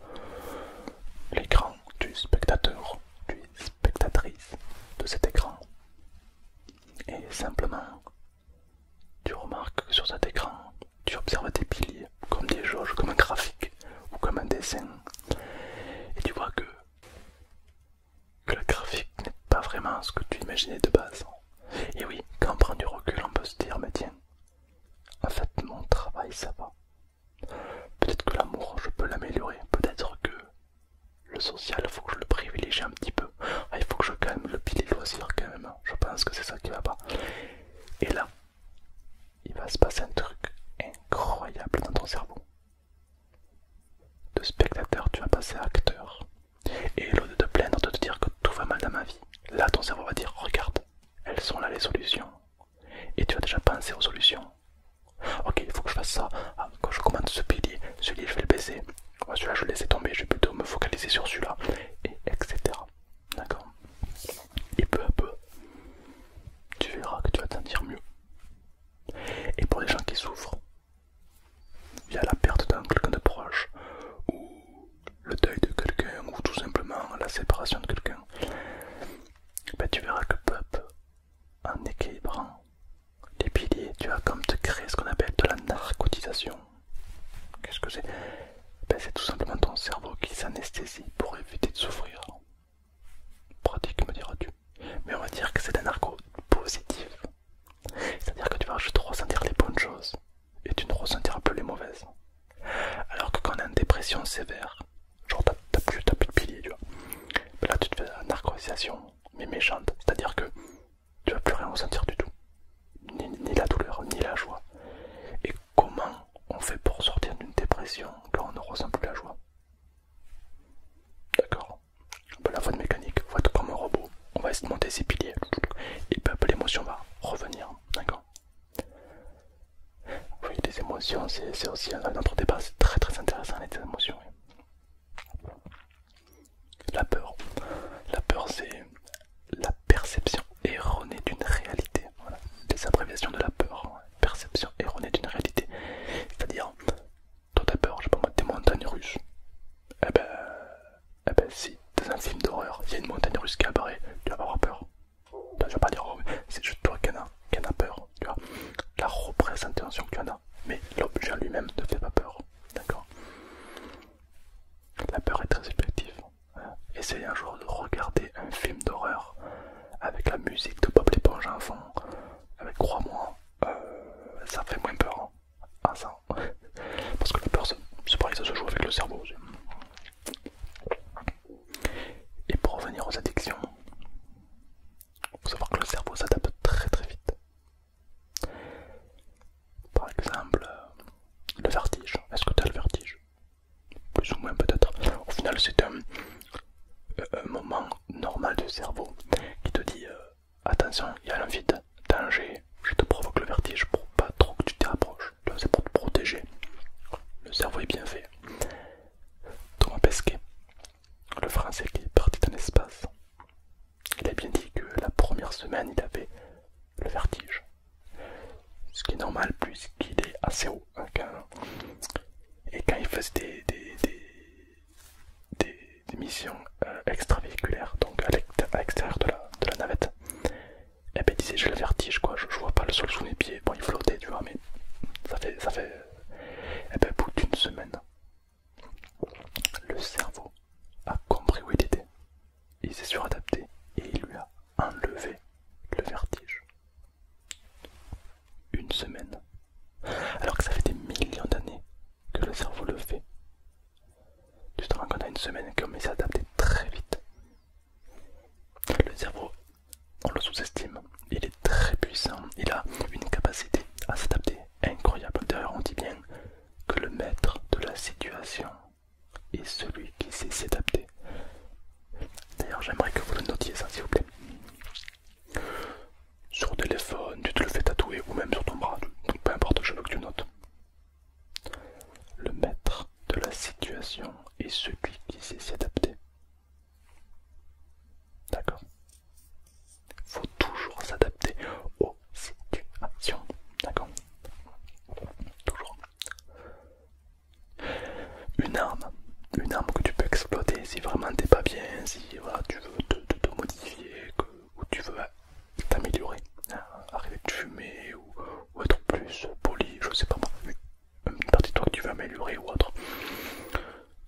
l'écran. du spectateur, tu spectatrice de cet écran. Et simplement, tu remarques que sur cet écran, tu observes tes piliers comme des jauges, comme un graphique ou comme un dessin. Et tu vois que, le graphique n'est pas vraiment ce que tu imaginais de base. Et oui, quand on prend du recul, on peut se dire, mais tiens, en fait mon travail ça va. Peut-être que l'amour, je peux l'améliorer. Peut-être que le social, il faut que je le privilégie un petit peu. Ah, il faut que je calme le pilier loisir quand même. Je pense que c'est ça qui va pas. Et là, il va se passer un truc incroyable dans ton cerveau. De spectateur, tu vas passer à acteur. Et au de te plaindre, de te dire que tout va mal dans ma vie, là ton cerveau va dire Regarde, elles sont là les solutions. Et tu as déjà penser aux solutions. Ok, il faut que je fasse ça. Ah, quand je commande ce pilier, celui-là je vais le baiser. celui-là je vais le laisser tomber, je vais plutôt me focaliser sur celui-là. Et etc. D'accord et peu à peu, tu verras que tu vas t'en dire mieux. Et pour les gens qui souffrent, via la perte d'un quelqu'un de proche, ou le deuil de quelqu'un, ou tout simplement la séparation de quelqu'un, ben, tu verras que peu à peu, en équilibrant les piliers, tu vas comme te créer ce qu'on appelle de la narcotisation. Qu'est-ce que c'est ben, C'est tout simplement ton cerveau qui s'anesthésie pour éviter de souffrir. Pratique, me diras-tu. Mais on va dire que c'est un argot positif. C'est-à-dire que tu vas juste ressentir les bonnes choses et tu ne ressentiras plus les mauvaises. Alors que quand on a une dépression sévère, genre t'as plus, plus de pilier, tu vois, là tu te fais une mais méchante. C'est-à-dire que tu vas plus rien ressentir du tout. Ni, la douleur, ni la joie. Et Comment on fait pour sortir d'une dépression quand on ne ressent plus la joie D'accord La voix de mécanique, vous comme un robot, on va essayer de monter ses piliers, et puis l'émotion va revenir, d'accord Oui, les émotions, c'est aussi un autre débat, c'est très très intéressant les émotions. La peur, la peur c'est la perception erronée d'une réalité des abréviations de la peur, hein. perception erronée d'une réalité. C'est-à-dire, toi t'as peur, je peux pas des montagnes russes. et eh ben, eh ben, si, dans un film d'horreur, il y a une montagne russe qui apparaît, tu vas pas avoir peur. Tu vas pas dire, oh, c'est juste toi qui en a, peur, tu vois. La représentation que tu en as, mais l'objet lui-même ne fait pas peur, d'accord La peur est très subjective. Hein. Essayez un jour de regarder un film d'horreur avec la musique de Bob l'éponge en fond, avec crois-moi, euh, ça fait moins peur. ça, hein, parce que la peur, c'est pareil, ça se joue avec le cerveau aussi. Et pour revenir aux addictions, il faut savoir que le cerveau s'adapte très très vite. Par exemple, le vertige. Est-ce que tu as le vertige plus ou moins peut-être. Au final, c'est un, euh, moment normal du cerveau qui te dit euh, attention, il y a l'envie de danger, je te provoque le vertige pour pas trop que tu t'y rapproches. C'est pour te protéger. Le cerveau est bien fait. Thomas Pesquet, le français qui est parti dans l'espace, il a bien dit que la première semaine, il avait le vertige. Ce qui est normal puisqu'il est assez haut et quand il faisait des, missions euh, extravéhiculaires, donc à l'extérieur de la, navette, et eh ben, il disait j'ai le vertige quoi, je, vois pas le sol sous mes pieds. Bon, il flottait, mais ça fait. Ça fait et eh au ben, bout d'une semaine, le cerveau a compris où il était. Il s'est suradapté et il lui a enlever le vertige. Une semaine. Alors que ça fait des millions d'années que le cerveau le fait. Tu te rends compte une semaine comme il s'est adapté très vite. Le cerveau, on le sous-estime, il est très puissant, il a une capacité à s'adapter incroyable. D'ailleurs, on dit bien que le maître de la situation est celui qui sait s'adapter D'ailleurs, j'aimerais que vous le notiez ça, s'il vous plaît. Sur téléphone, tu te le fais tatouer ou même sur ton bras, donc peu importe, je veux que tu notes. Le maître de la situation est celui qui sait s'y adapter. D'accord Faut toujours s'adapter aux situations. D'accord Toujours. Une arme, une arme que tu peux exploiter si vraiment t'es pas bien, si tu veux te, modifier ou tu veux t'améliorer, arriver ah, arrêter de fumer ou, ou être plus poli, je sais pas moi, une partie de toi que tu veux améliorer ou autre.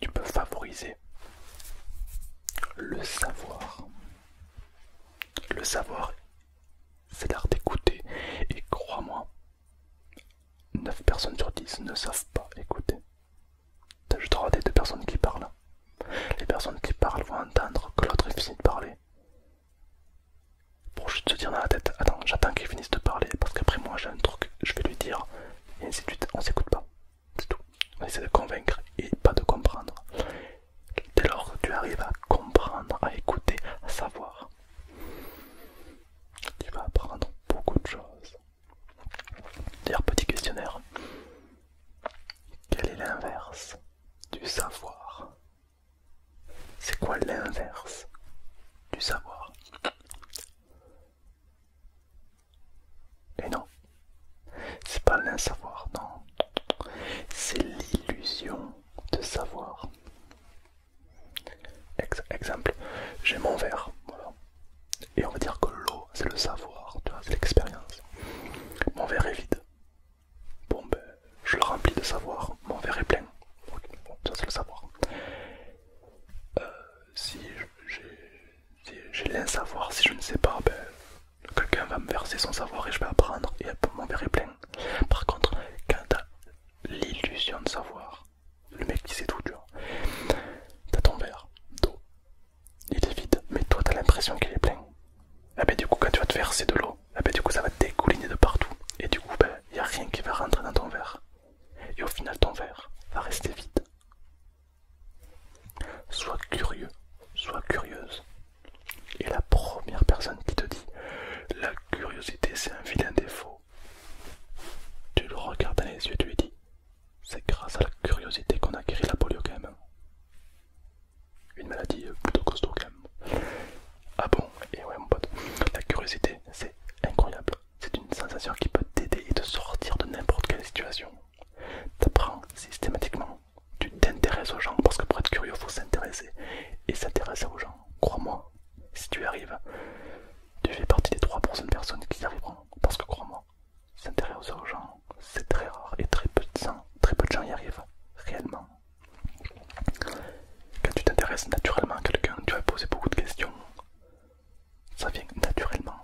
Tu peux favoriser le savoir. Le savoir, c'est l'art d'écouter et crois-moi, 9 personnes sur 10 ne savent pas écouter. T'as juste les deux personnes qui parlent. Les personnes qui parlent vont entendre que l'autre est de parler. Pour juste se dire dans la tête, attends, j'attends qu'il finisse de parler parce qu'après moi j'ai un truc, je vais lui dire, et ainsi de suite, on s'écoute pas. C'est tout. On essaie de convaincre et pas de comprendre. Dès lors que tu arrives à comprendre, à écouter, à savoir, tu vas apprendre beaucoup de choses. D'ailleurs, petit questionnaire, quel est l'inverse du savoir C'est quoi l'inverse du savoir Et non, c'est pas l'insavoir, non, c'est l'illusion de savoir exemple, j'ai mon verre, Et on va dire que l'eau, c'est le savoir, c'est l'expérience. Mon verre est vide. Bon ben, je le remplis de savoir, mon verre est plein. ça c'est le savoir. Euh, si j'ai l'insavoir, si je ne sais pas, ben, quelqu'un va me verser son savoir et je vais apprendre et mon verre est plein. Par contre, quand t'as l'illusion de savoir, le mec qui sait tout, tu vois. T'as ton verre d'eau, il est vide, mais toi t'as l'impression qu'il est plein. Ah ben du coup quand tu vas te verser de l'eau, ah ben, du coup ça va te découliner de partout. Et du coup, il ben, y a rien qui va rentrer dans ton verre. Et au final ton verre va rester vide. Sois curieux, sois curieuse. Et la première personne qui te dit la curiosité c'est un vilain défaut. Tu le regardes dans les yeux, tu lui dis C'est grâce à la curiosité qu'on a guéri la polio quand même. Une maladie euh, plutôt costaud quand même. Ah bon Et eh ouais mon pote, la curiosité c'est incroyable. C'est une sensation qui peut t'aider et te sortir de n'importe quelle situation. T'apprends systématiquement. Tu t'intéresses aux gens parce que pour être curieux, faut s'intéresser. Et s'intéresser aux gens, crois-moi, si tu arrives, tu fais partie des 3% de personnes qui y arriveront. Parce que crois-moi, s'intéresser aux gens, c'est très rare et très peu, de très peu de gens y arrivent réellement. Quand tu t'intéresses naturellement à quelqu'un, tu vas poser beaucoup de questions. Ça vient naturellement.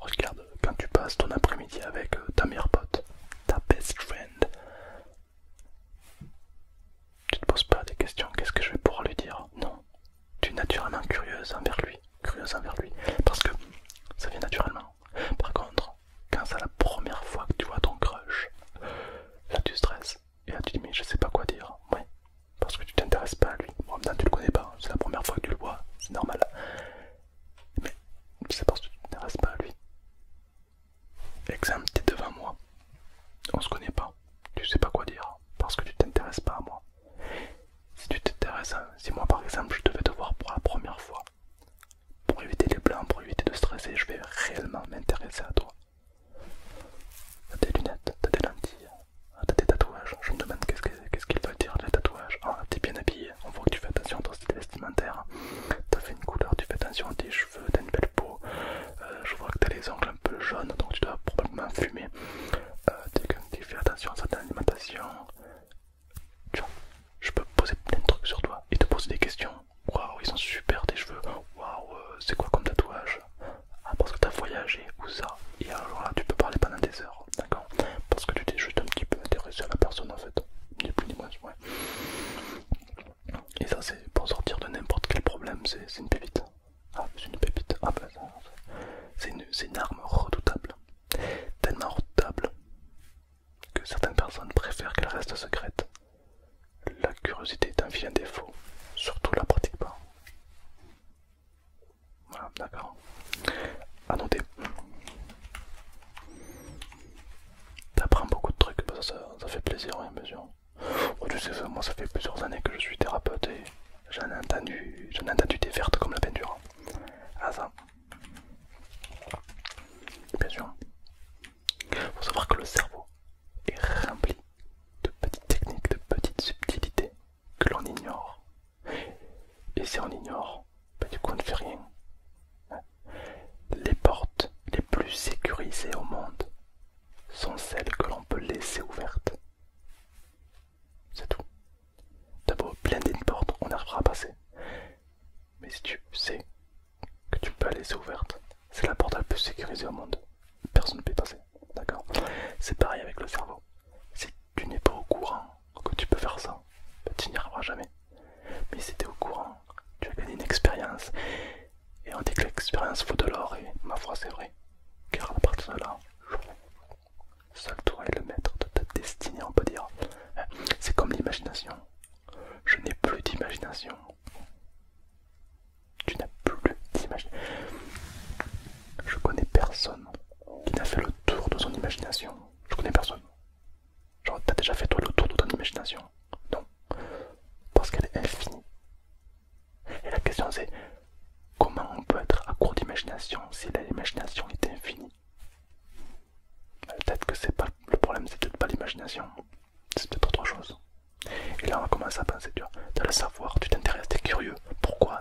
Regarde, quand tu passes ton après-midi avec euh, ta meilleure pote, ta best friend, tu te poses pas des questions, qu'est-ce que je vais pouvoir lui dire Non, tu es naturellement curieuse envers lui, curieuse envers lui, parce que ça vient naturellement. Par contre, quand c'est la première fois que tu vois ton crush, là tu stresses, et là tu dis mais je sais pas quoi dire, ouais, parce que tu t'intéresses pas à lui. Bon, maintenant tu le connais pas, hein. c'est la première fois que tu le vois, c'est normal. Mais c'est parce que tu t'intéresses pas à lui. Exemple, t'es devant moi, on se connaît pas, tu sais pas quoi dire, parce que tu t'intéresses pas à moi. Si tu t'intéresses, hein, si moi par exemple je devais te voir pour la première fois, pour éviter les blancs, pour éviter de stresser, je vais réellement m'intéresser à toi. T'as des lunettes, t'as des lentilles, hein, t'as des tatouages. Je me demande qu'est-ce qu'ils veulent dire les tatouages. Ah, t'es bien habillé, on voit que tu fais attention à ton style vestimentaire. T'as fait une couleur, tu fais attention à tes cheveux, t'as une belle peau. Euh, je vois que t'as les ongles un peu jaunes, donc tu dois probablement fumer. Euh, que tu fais attention à certaines alimentations. je peux poser plein de trucs sur toi et te poser des questions. Waouh, ils sont super tes cheveux. Waouh, euh, c'est quoi comme tatouage Ah, parce que t'as voyagé ou ça Et alors là, tu peux parler pendant des heures, d'accord Parce que tu t'es juste un petit peu intéressé à la personne en fait, ni plus ni moins, Et ça, c'est pour sortir de n'importe quel problème, c'est une pépite. Ah, c'est une pépite. Ah, bah, c'est une, arme redoutable. Tellement redoutable que certaines personnes préfèrent qu'elle reste secrète. La curiosité est un vilain défaut, surtout la pratique pas. Voilà, d'accord. À noter. T'apprends beaucoup de trucs, bah, ça, ça fait plaisir en mesure. Oh, tu moi ça fait plusieurs années que je suis thérapeute et j'en ai entendu, des vertes comme la peinture. Hein. Ah ça. Bien sûr. Faut savoir que le cerveau est rempli de petites techniques, de petites subtilités que l'on ignore. Et si on ignore, bah, du coup on ne fait rien. Hein. Les portes les plus sécurisées au monde sont celles que l'on peut laisser ouvertes. C'est tout. D'abord, plein une porte, on arrivera à passer. Mais si tu sais que tu peux la laisser ouverte, c'est la porte la plus sécurisée au monde. Personne ne peut passer. D'accord C'est pareil avec le cerveau. Si tu n'es pas au courant que tu peux faire ça, ben, tu n'y arriveras jamais. Mais si tu es au courant, tu as gagné une expérience et on dit que l'expérience vaut de l'or, et ma foi c'est vrai. Car à partir de là, seul toi est le maître de ta destinée, on peut dire. Hein, c'est comme l'imagination. Je n'ai plus d'imagination. Tu n'as plus d'imagination. Je connais personne qui n'a fait le tour de son imagination. Je connais personne. Genre, t'as déjà fait toi le tour de ton imagination Non. Parce qu'elle est infinie. Et la question c'est comment on peut être à court d'imagination si l'imagination est infinie euh, Peut-être que c'est pas le problème, c'est peut-être pas l'imagination, c'est peut-être autre chose. Et là, on commence à penser, tu as le savoir, tu t'intéresses, tu es curieux, pourquoi,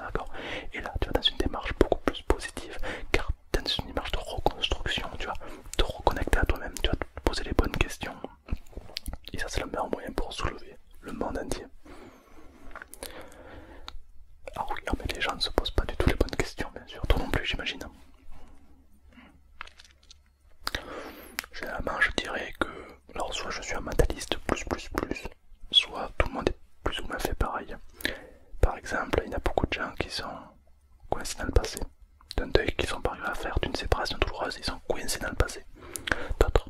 Et là, tu vas dans une démarche beaucoup plus positive, car tu dans une démarche de reconstruction, tu vas te reconnecter à toi-même, tu vas te poser les bonnes questions, et ça, c'est le meilleur moyen pour soulever le monde entier. Alors, ah oui, ah, mais les gens ne se posent pas du tout les bonnes questions, bien sûr. tout non plus, j'imagine. Généralement, je dirais que, alors soit je suis un mentaliste plus plus plus, soit tout le monde est plus ou moins fait pareil. Par exemple, il y a beaucoup de gens qui sont coincés dans le passé. D'un deuil qu'ils sont pas à faire, d'une séparation douloureuse, ils sont coincés dans le passé. D'autres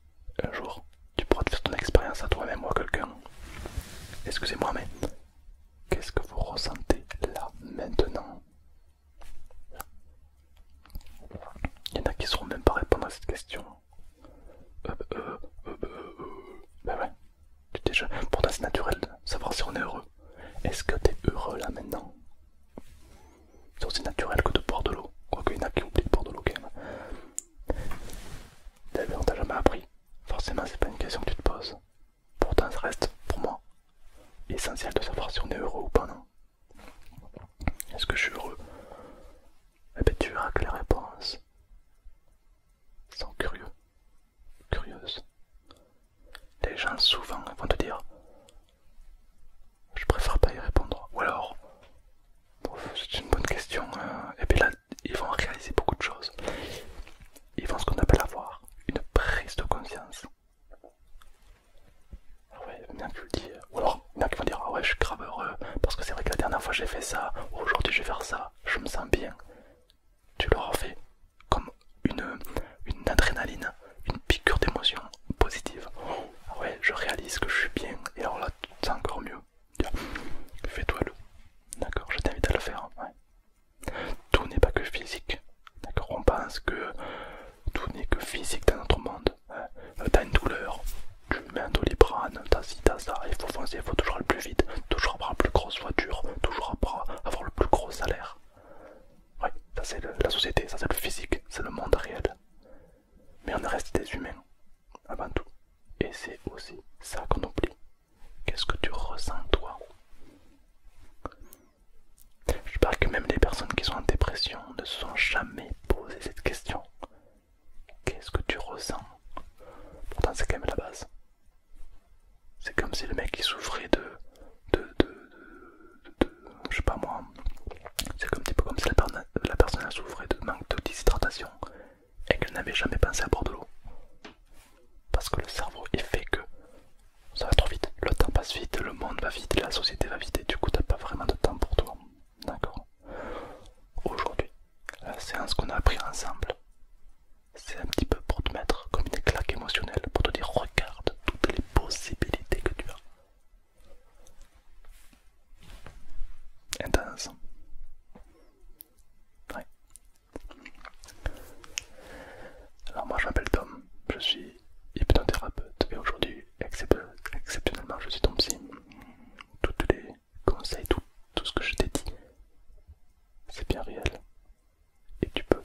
un jour, tu pourras te faire ton expérience à toi-même ou à quelqu'un. Excusez-moi, mais qu'est-ce que vous ressentez là, maintenant Il y en a qui ne sauront même pas répondre à cette question. Euh, euh, euh, ben ouais, tu déjà. Pourtant, c'est naturel de savoir si on est heureux. Est-ce que t'es heureux là maintenant C'est aussi naturel que de boire de l'eau. Quoi, il y en a qui oublient de boire de l'eau quand même. T'as on t'a jamais appris. Forcément, c'est pas une question que tu te poses. Pourtant, ça reste, pour moi, essentiel de savoir si on est heureux ou pas, non Est-ce que je suis heureux Eh bien tu verras que les réponses sont curieux, curieuses. Les gens, souvent, vont te dire Je préfère pas y répondre. Ou alors, c'est une bonne question. Hein. et puis là, ils vont réaliser beaucoup de choses. Ils vont ce qu'on appelle avoir une prise de conscience. Ah ou alors, bien qu'ils vont dire Ah ouais, je suis grave heureux parce que c'est vrai que la dernière fois j'ai fait ça, aujourd'hui je vais faire ça, je me sens bien. Tu leur fait comme une, une adrénaline, une piqûre d'émotion positive. Ah ouais, je réalise que je suis bien et alors là, c'est encore mieux. Fais-toi le. D'accord, je t'invite à le faire. Tout n'est pas que physique. D'accord, on pense que tout n'est que physique dans notre monde. Hein. Euh, t'as une douleur, tu mets un toli t'as ci, t'as ça, il faut foncer, il faut toujours aller plus vite, toujours avoir la plus grosse voiture, toujours avoir le plus gros salaire. Oui, ça c'est la société, ça c'est le physique, c'est le monde réel. Mais on reste des humains, avant tout. Et c'est aussi ça qu'on oublie. Qu'est-ce que tu ressens toi Je parle que même les personnes qui sont en dépression ne se sont jamais posé cette question. Qu'est-ce que tu ressens Pourtant c'est quand même la base. C'est comme si le mec il souffrait de... de, de, de, je sais pas moi. C'est un petit peu comme si la, la personne souffrait de manque de déshydratation et qu'elle n'avait jamais pensé à boire de l'eau. Parce que le cerveau est fait que ça va trop vite, le temps passe vite, le monde va vite, la société va vite et du coup t'as pas vraiment de temps pour toi. D'accord Aujourd'hui, la séance qu'on a appris ensemble, c'est un petit peu pour te mettre comme une claque émotionnelle, pour te dire regarde toutes les possibilités que tu as. Intense. Alors moi je m'appelle Tom, je suis hypnothérapeute et aujourd'hui exceptionnellement je suis ton psy. tous les conseils, tout, tout ce que je t'ai dit, c'est bien réel et tu peux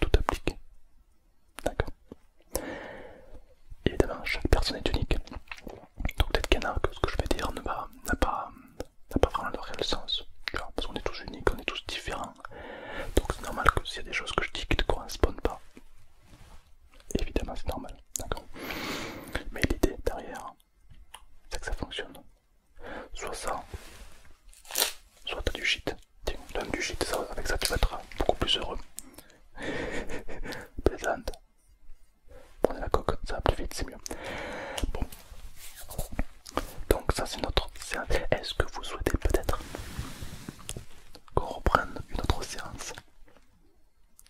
tout appliquer. D'accord Évidemment, chaque personne est unique. Donc peut-être qu'il y en a que ce que je vais dire n'a pas, pas vraiment le réel sens. parce qu'on est tous uniques, on est tous différents. Donc c'est normal que s'il y a des choses que je dis qui ne correspondent pas, évidemment c'est normal. D'accord Mais l'idée derrière, c'est que ça fonctionne. Soit ça, soit as du shit. donne du shit, avec ça tu vas être beaucoup plus heureux. Plaisante prenez la coque, ça va plus vite, c'est mieux. Bon. Donc ça c'est notre séance. Est-ce que vous souhaitez peut-être qu'on reprenne une autre séance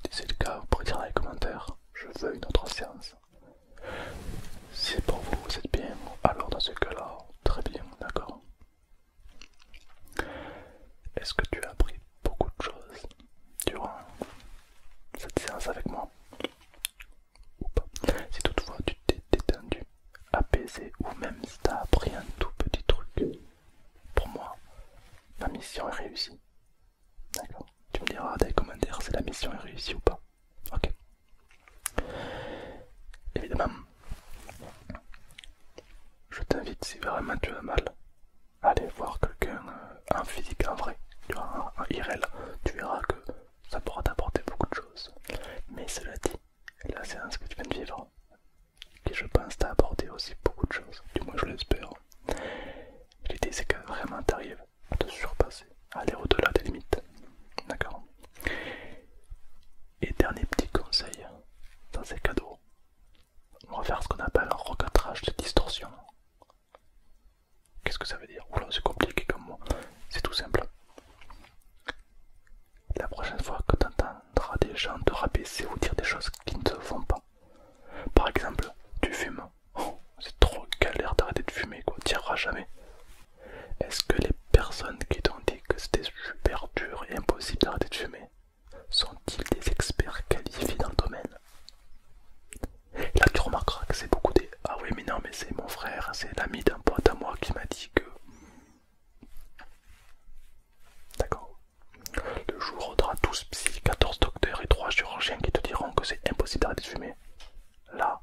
Si c'est le cas, vous pourrez dire dans les commentaires, je veux une autre séance. Si pour vous vous êtes bien, alors dans ce cas-là, très bien, d'accord. Est-ce que tu as appris beaucoup de choses durant cette séance avec moi. Ou pas. Si toutefois tu t'es détendu, apaisé ou même si t'as appris un tout petit truc, pour moi, la mission est réussie. D'accord Tu me diras dans les commentaires si la mission est réussie ou pas. Ok. Évidemment, je t'invite si vraiment tu as mal aller voir quelqu'un, en euh, un physique, en vrai, tu un, tu verras que ça pourra t'apporter beaucoup de choses. Mais cela dit, la séance que tu viens de vivre, qui je pense t'a apporté aussi beaucoup de choses, du moins je l'espère. L'idée c'est que vraiment t'arrives à te surpasser, aller au-delà des limites. D'accord Et dernier petit conseil dans ces cadeaux, on va faire ce qu'on appelle un recatrage de distorsion. Qu'est-ce que ça veut dire Oula, c'est compliqué comme moi. C'est tout simple. La prochaine fois que tu entendras des gens te rabaisser ou dire des choses qui ne se font pas. Par exemple, tu fumes. Oh, c'est trop galère d'arrêter de fumer, quoi. T'y arriveras jamais. Est-ce que les personnes qui t'ont dit que c'était super dur et impossible d'arrêter de fumer sont-ils des experts qualifiés dans le domaine Là, tu remarqueras que c'est beaucoup des. Ah oui, mais non, mais c'est mon frère, hein, c'est l'ami d'un pote à moi qui m'a dit que. D'accord. Le jour où tu auras 12 psy, 14 docteurs et 3 chirurgiens qui te diront que c'est impossible d'arrêter de fumer. Là,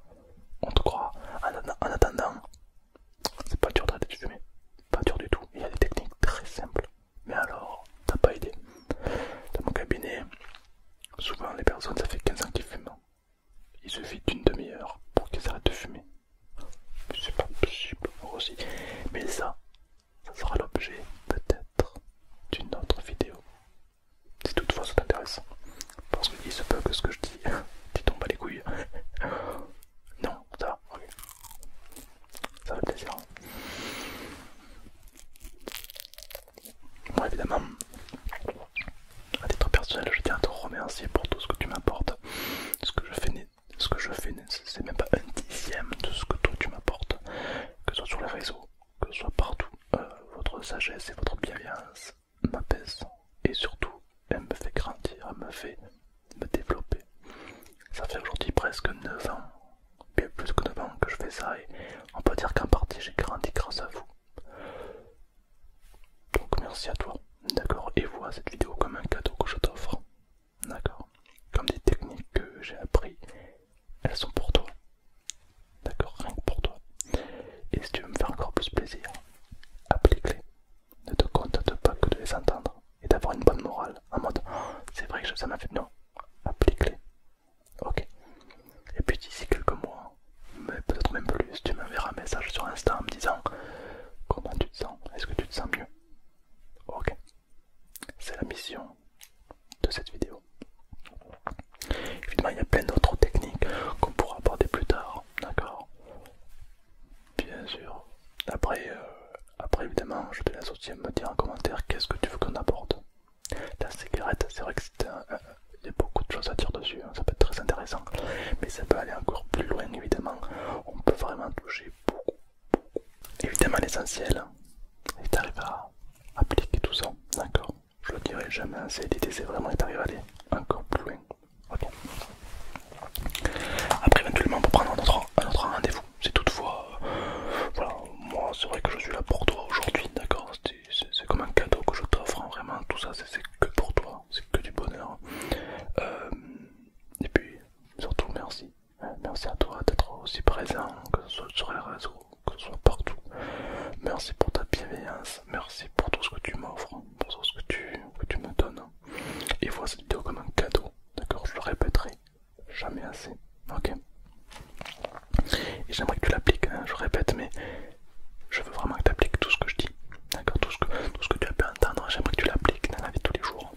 on te croit. En, attendant, c'est pas dur d'arrêter de fumer. Pas dur du tout. Il y a des techniques très simples. Mais alors, t'as pas aidé Dans mon cabinet, Souvent, les personnes, ça fait 15 ans qu'ils fument. Il suffit d'une demi-heure pour qu'ils arrêtent de fumer. pas possible, aussi. Mais ça, ça sera l'objet peut-être d'une autre vidéo. Si toutefois ça t'intéresse. Parce qu'il se peut que ce que je dis, tu tombes à les couilles. non, ça va, Ça plaisir. Hein. Moi évidemment, à titre personnel, je tiens à te remercier pour tout ce que tu m'apportes. Ce que je fais, ce que c'est même pas un dixième de ce que toi tu m'apportes, que ce soit sur les réseaux, que ce soit partout. Euh, votre sagesse et votre bienveillance m'apaisent et surtout, elle me fait grandir, elle me fait me développer. Ça fait aujourd'hui presque 9 ans bien plus que 9 ans que je fais ça et on peut dire qu'en partie j'ai grandi grâce à vous. Donc merci à toi, d'accord Et vois cette vidéo comme un cadeau que je t'offre, d'accord Comme des techniques que j'ai appris, elles sont pour toi, d'accord Rien que pour toi. Et si tu veux me faire encore plus plaisir, applique-les. Ne te contente pas que de les entendre et d'avoir une bonne morale en mode oh, c'est vrai que ça m'a fait. Non, applique-les, Ok. Et puis d'ici quelques mois, mais peut-être même plus, tu m'enverras un message sur Insta en me disant comment tu te sens, est-ce que tu te sens mieux Ok. C'est la mission de cette vidéo. Évidemment, il y a plein d'autres techniques qu'on pourra aborder plus tard, d'accord Bien sûr. Après, euh, après, évidemment, je te laisse aussi me dire en commentaire qu'est-ce que tu veux qu'on aborde. La cigarette, c'est vrai que c'est y a beaucoup de choses à dire dessus, hein. ça peut être très intéressant, mais ça peut aller encore plus loin évidemment. On peut vraiment toucher beaucoup, beaucoup. Évidemment, l'essentiel est hein. t'arrives à appliquer tout ça, d'accord Je le dirai jamais c'est L'idée, c'est vraiment d'arriver à aller encore plus loin. Après, éventuellement, on peut prendre un autre, rendez-vous. C'est toutefois, euh, voilà, moi, c'est vrai que je suis là pour toi aujourd'hui, d'accord c'est comme un cadeau que je t'offre, hein. vraiment tout ça c'est que pour toi, c'est que du bonheur. Hein. Euh, et puis surtout merci, merci à toi d'être aussi présent, que ce soit sur les réseaux, que ce soit partout. Merci pour ta bienveillance, merci pour tout ce que tu m'offres, hein. pour tout ce que tu, tu me donnes. Et vois cette vidéo comme un cadeau, d'accord Je le répéterai jamais assez ok Et j'aimerais que tu l'appliques, hein, je répète, mais je veux vraiment que tu appliques tout ce que je dis, d'accord tout, tout ce que tu as pu entendre, j'aimerais que tu l'appliques dans la vie tous les jours.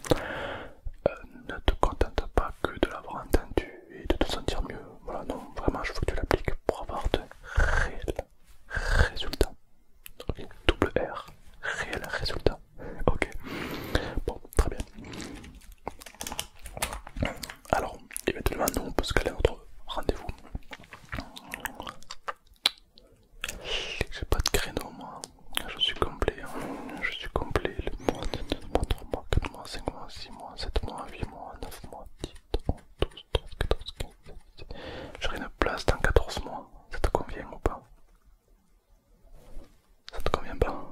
Euh, ne te contente pas que de l'avoir entendu et de te sentir mieux. Voilà, non, vraiment, je veux que tu l'appliques pour avoir de réels résultats. double R, réels résultat. Ok, bon, très bien. Alors, éventuellement, eh nous on peut se caler notre rendez-vous. J'ai pas de créneau, moi. Je suis complet. Hein. Je suis complet. Le mois, 2 mois, 3 mois, 4 mois, 5 mois, 6 mois, 7 mois, 8 mois, 9 mois, 10, 11, 12, 13, 14, 15, 16. J'aurai une place dans 14 mois. Ça te convient ou pas Ça te convient pas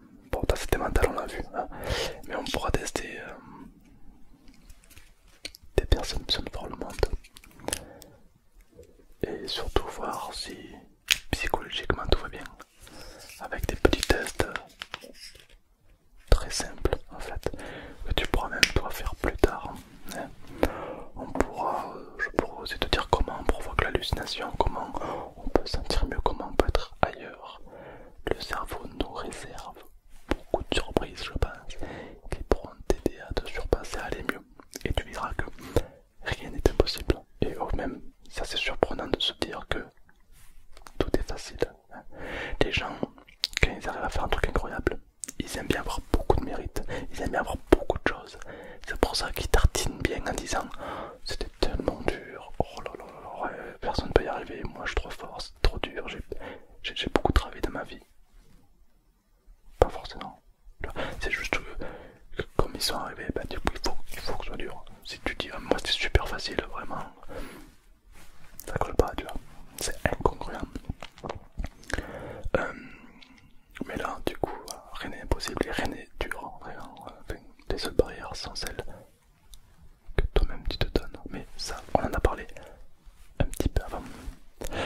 Bon, t'as c'était mental, on l'a vu. Hein. Mais on pourra tester euh, des personnes qui le monde. Et surtout voir si psychologiquement tout va bien. Avec des petits tests euh, très simples en fait. Que tu pourras même toi faire plus tard. Hein. On pourra, euh, je pourrais aussi te dire comment on provoque l'hallucination, comment on peut sentir mieux, comment on peut être ailleurs, le cerveau nous réserve beaucoup de surprises, je pense, qui pourront t'aider à te surpasser à aller mieux. Et tu verras que rien n'est impossible. Et au même, ça c'est surprenant de se dire que tout est facile. Hein. Les gens, quand ils arrivent à faire un truc incroyable, ils aiment bien avoir beaucoup de mérite, ils aiment bien avoir beaucoup de choses. C'est pour ça qu'ils tartinent bien en disant c'était tellement dur. Oh euh, personne peut y arriver. Moi, je suis trop fort, c'est trop dur. J'ai beaucoup travaillé dans ma vie. Pas forcément. C'est juste que, comme ils sont arrivés, bah, du coup, il faut, il faut que ce soit dur. Si tu dis, à ah, moi, c'est super facile, vraiment, ça colle pas, tu vois. C'est incongruent. Euh, mais là, du coup, rien n'est impossible et rien n'est dur. Vraiment, hein. les seules barrières sont celles que toi-même tu te donnes. Mais ça, on en a parlé un petit peu avant.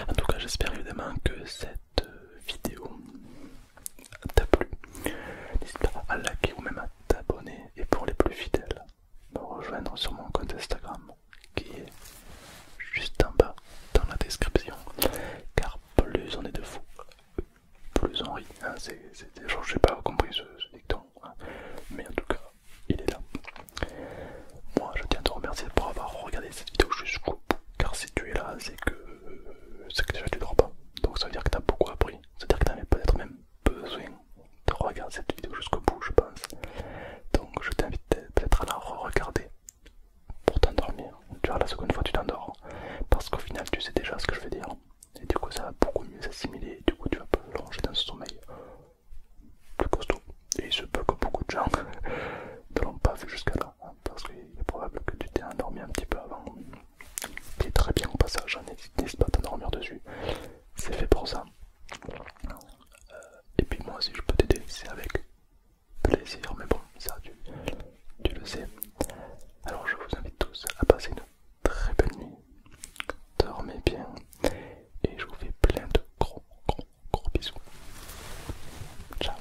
En tout cas, j'espère évidemment que cette euh, vidéo t'a plu. N'hésite pas à liker ou même à t'abonner. Et pour les plus fidèles, me rejoindre sur mon compte Instagram qui est juste en bas dans la description. Car plus on est de fous, plus Henri. Hein, c'est, je n'ai pas compris ce, dicton, hein. mais en tout cas, il est là. Moi, je tiens à te remercier pour avoir regardé cette vidéo jusqu'au bout, car si tu es là, c'est que, euh, tu que déjà tu dors pas. Donc ça veut dire que tu as beaucoup appris, ça veut dire que tu as peut-être même besoin de regarder cette vidéo jusqu'au bout, je pense. Donc je t'invite peut-être à la re-regarder pour t'endormir. Tu vois, la seconde fois, tu t'endors, parce qu'au final, tu sais déjà ce que je vais dire. Et du coup, ça va beaucoup mieux s'assimiler. Et du coup, tu vas plonger dans ce sommeil euh, plus costaud. Et il se peut que beaucoup de gens ne l'ont pas vu jusqu'à là. Hein, parce qu'il est probable que tu t'es endormi un petit peu avant. Qui est très bien au passage. Hein, n'hésite pas à t'endormir dessus. C'est fait pour ça. Euh, et puis, moi, si je peux t'aider, c'est avec plaisir. Mais bon, ça, tu, tu le sais. Alors, je vous invite tous à passer une très bonne nuit, dormez bien et je vous fais plein de gros gros gros bisous. Ciao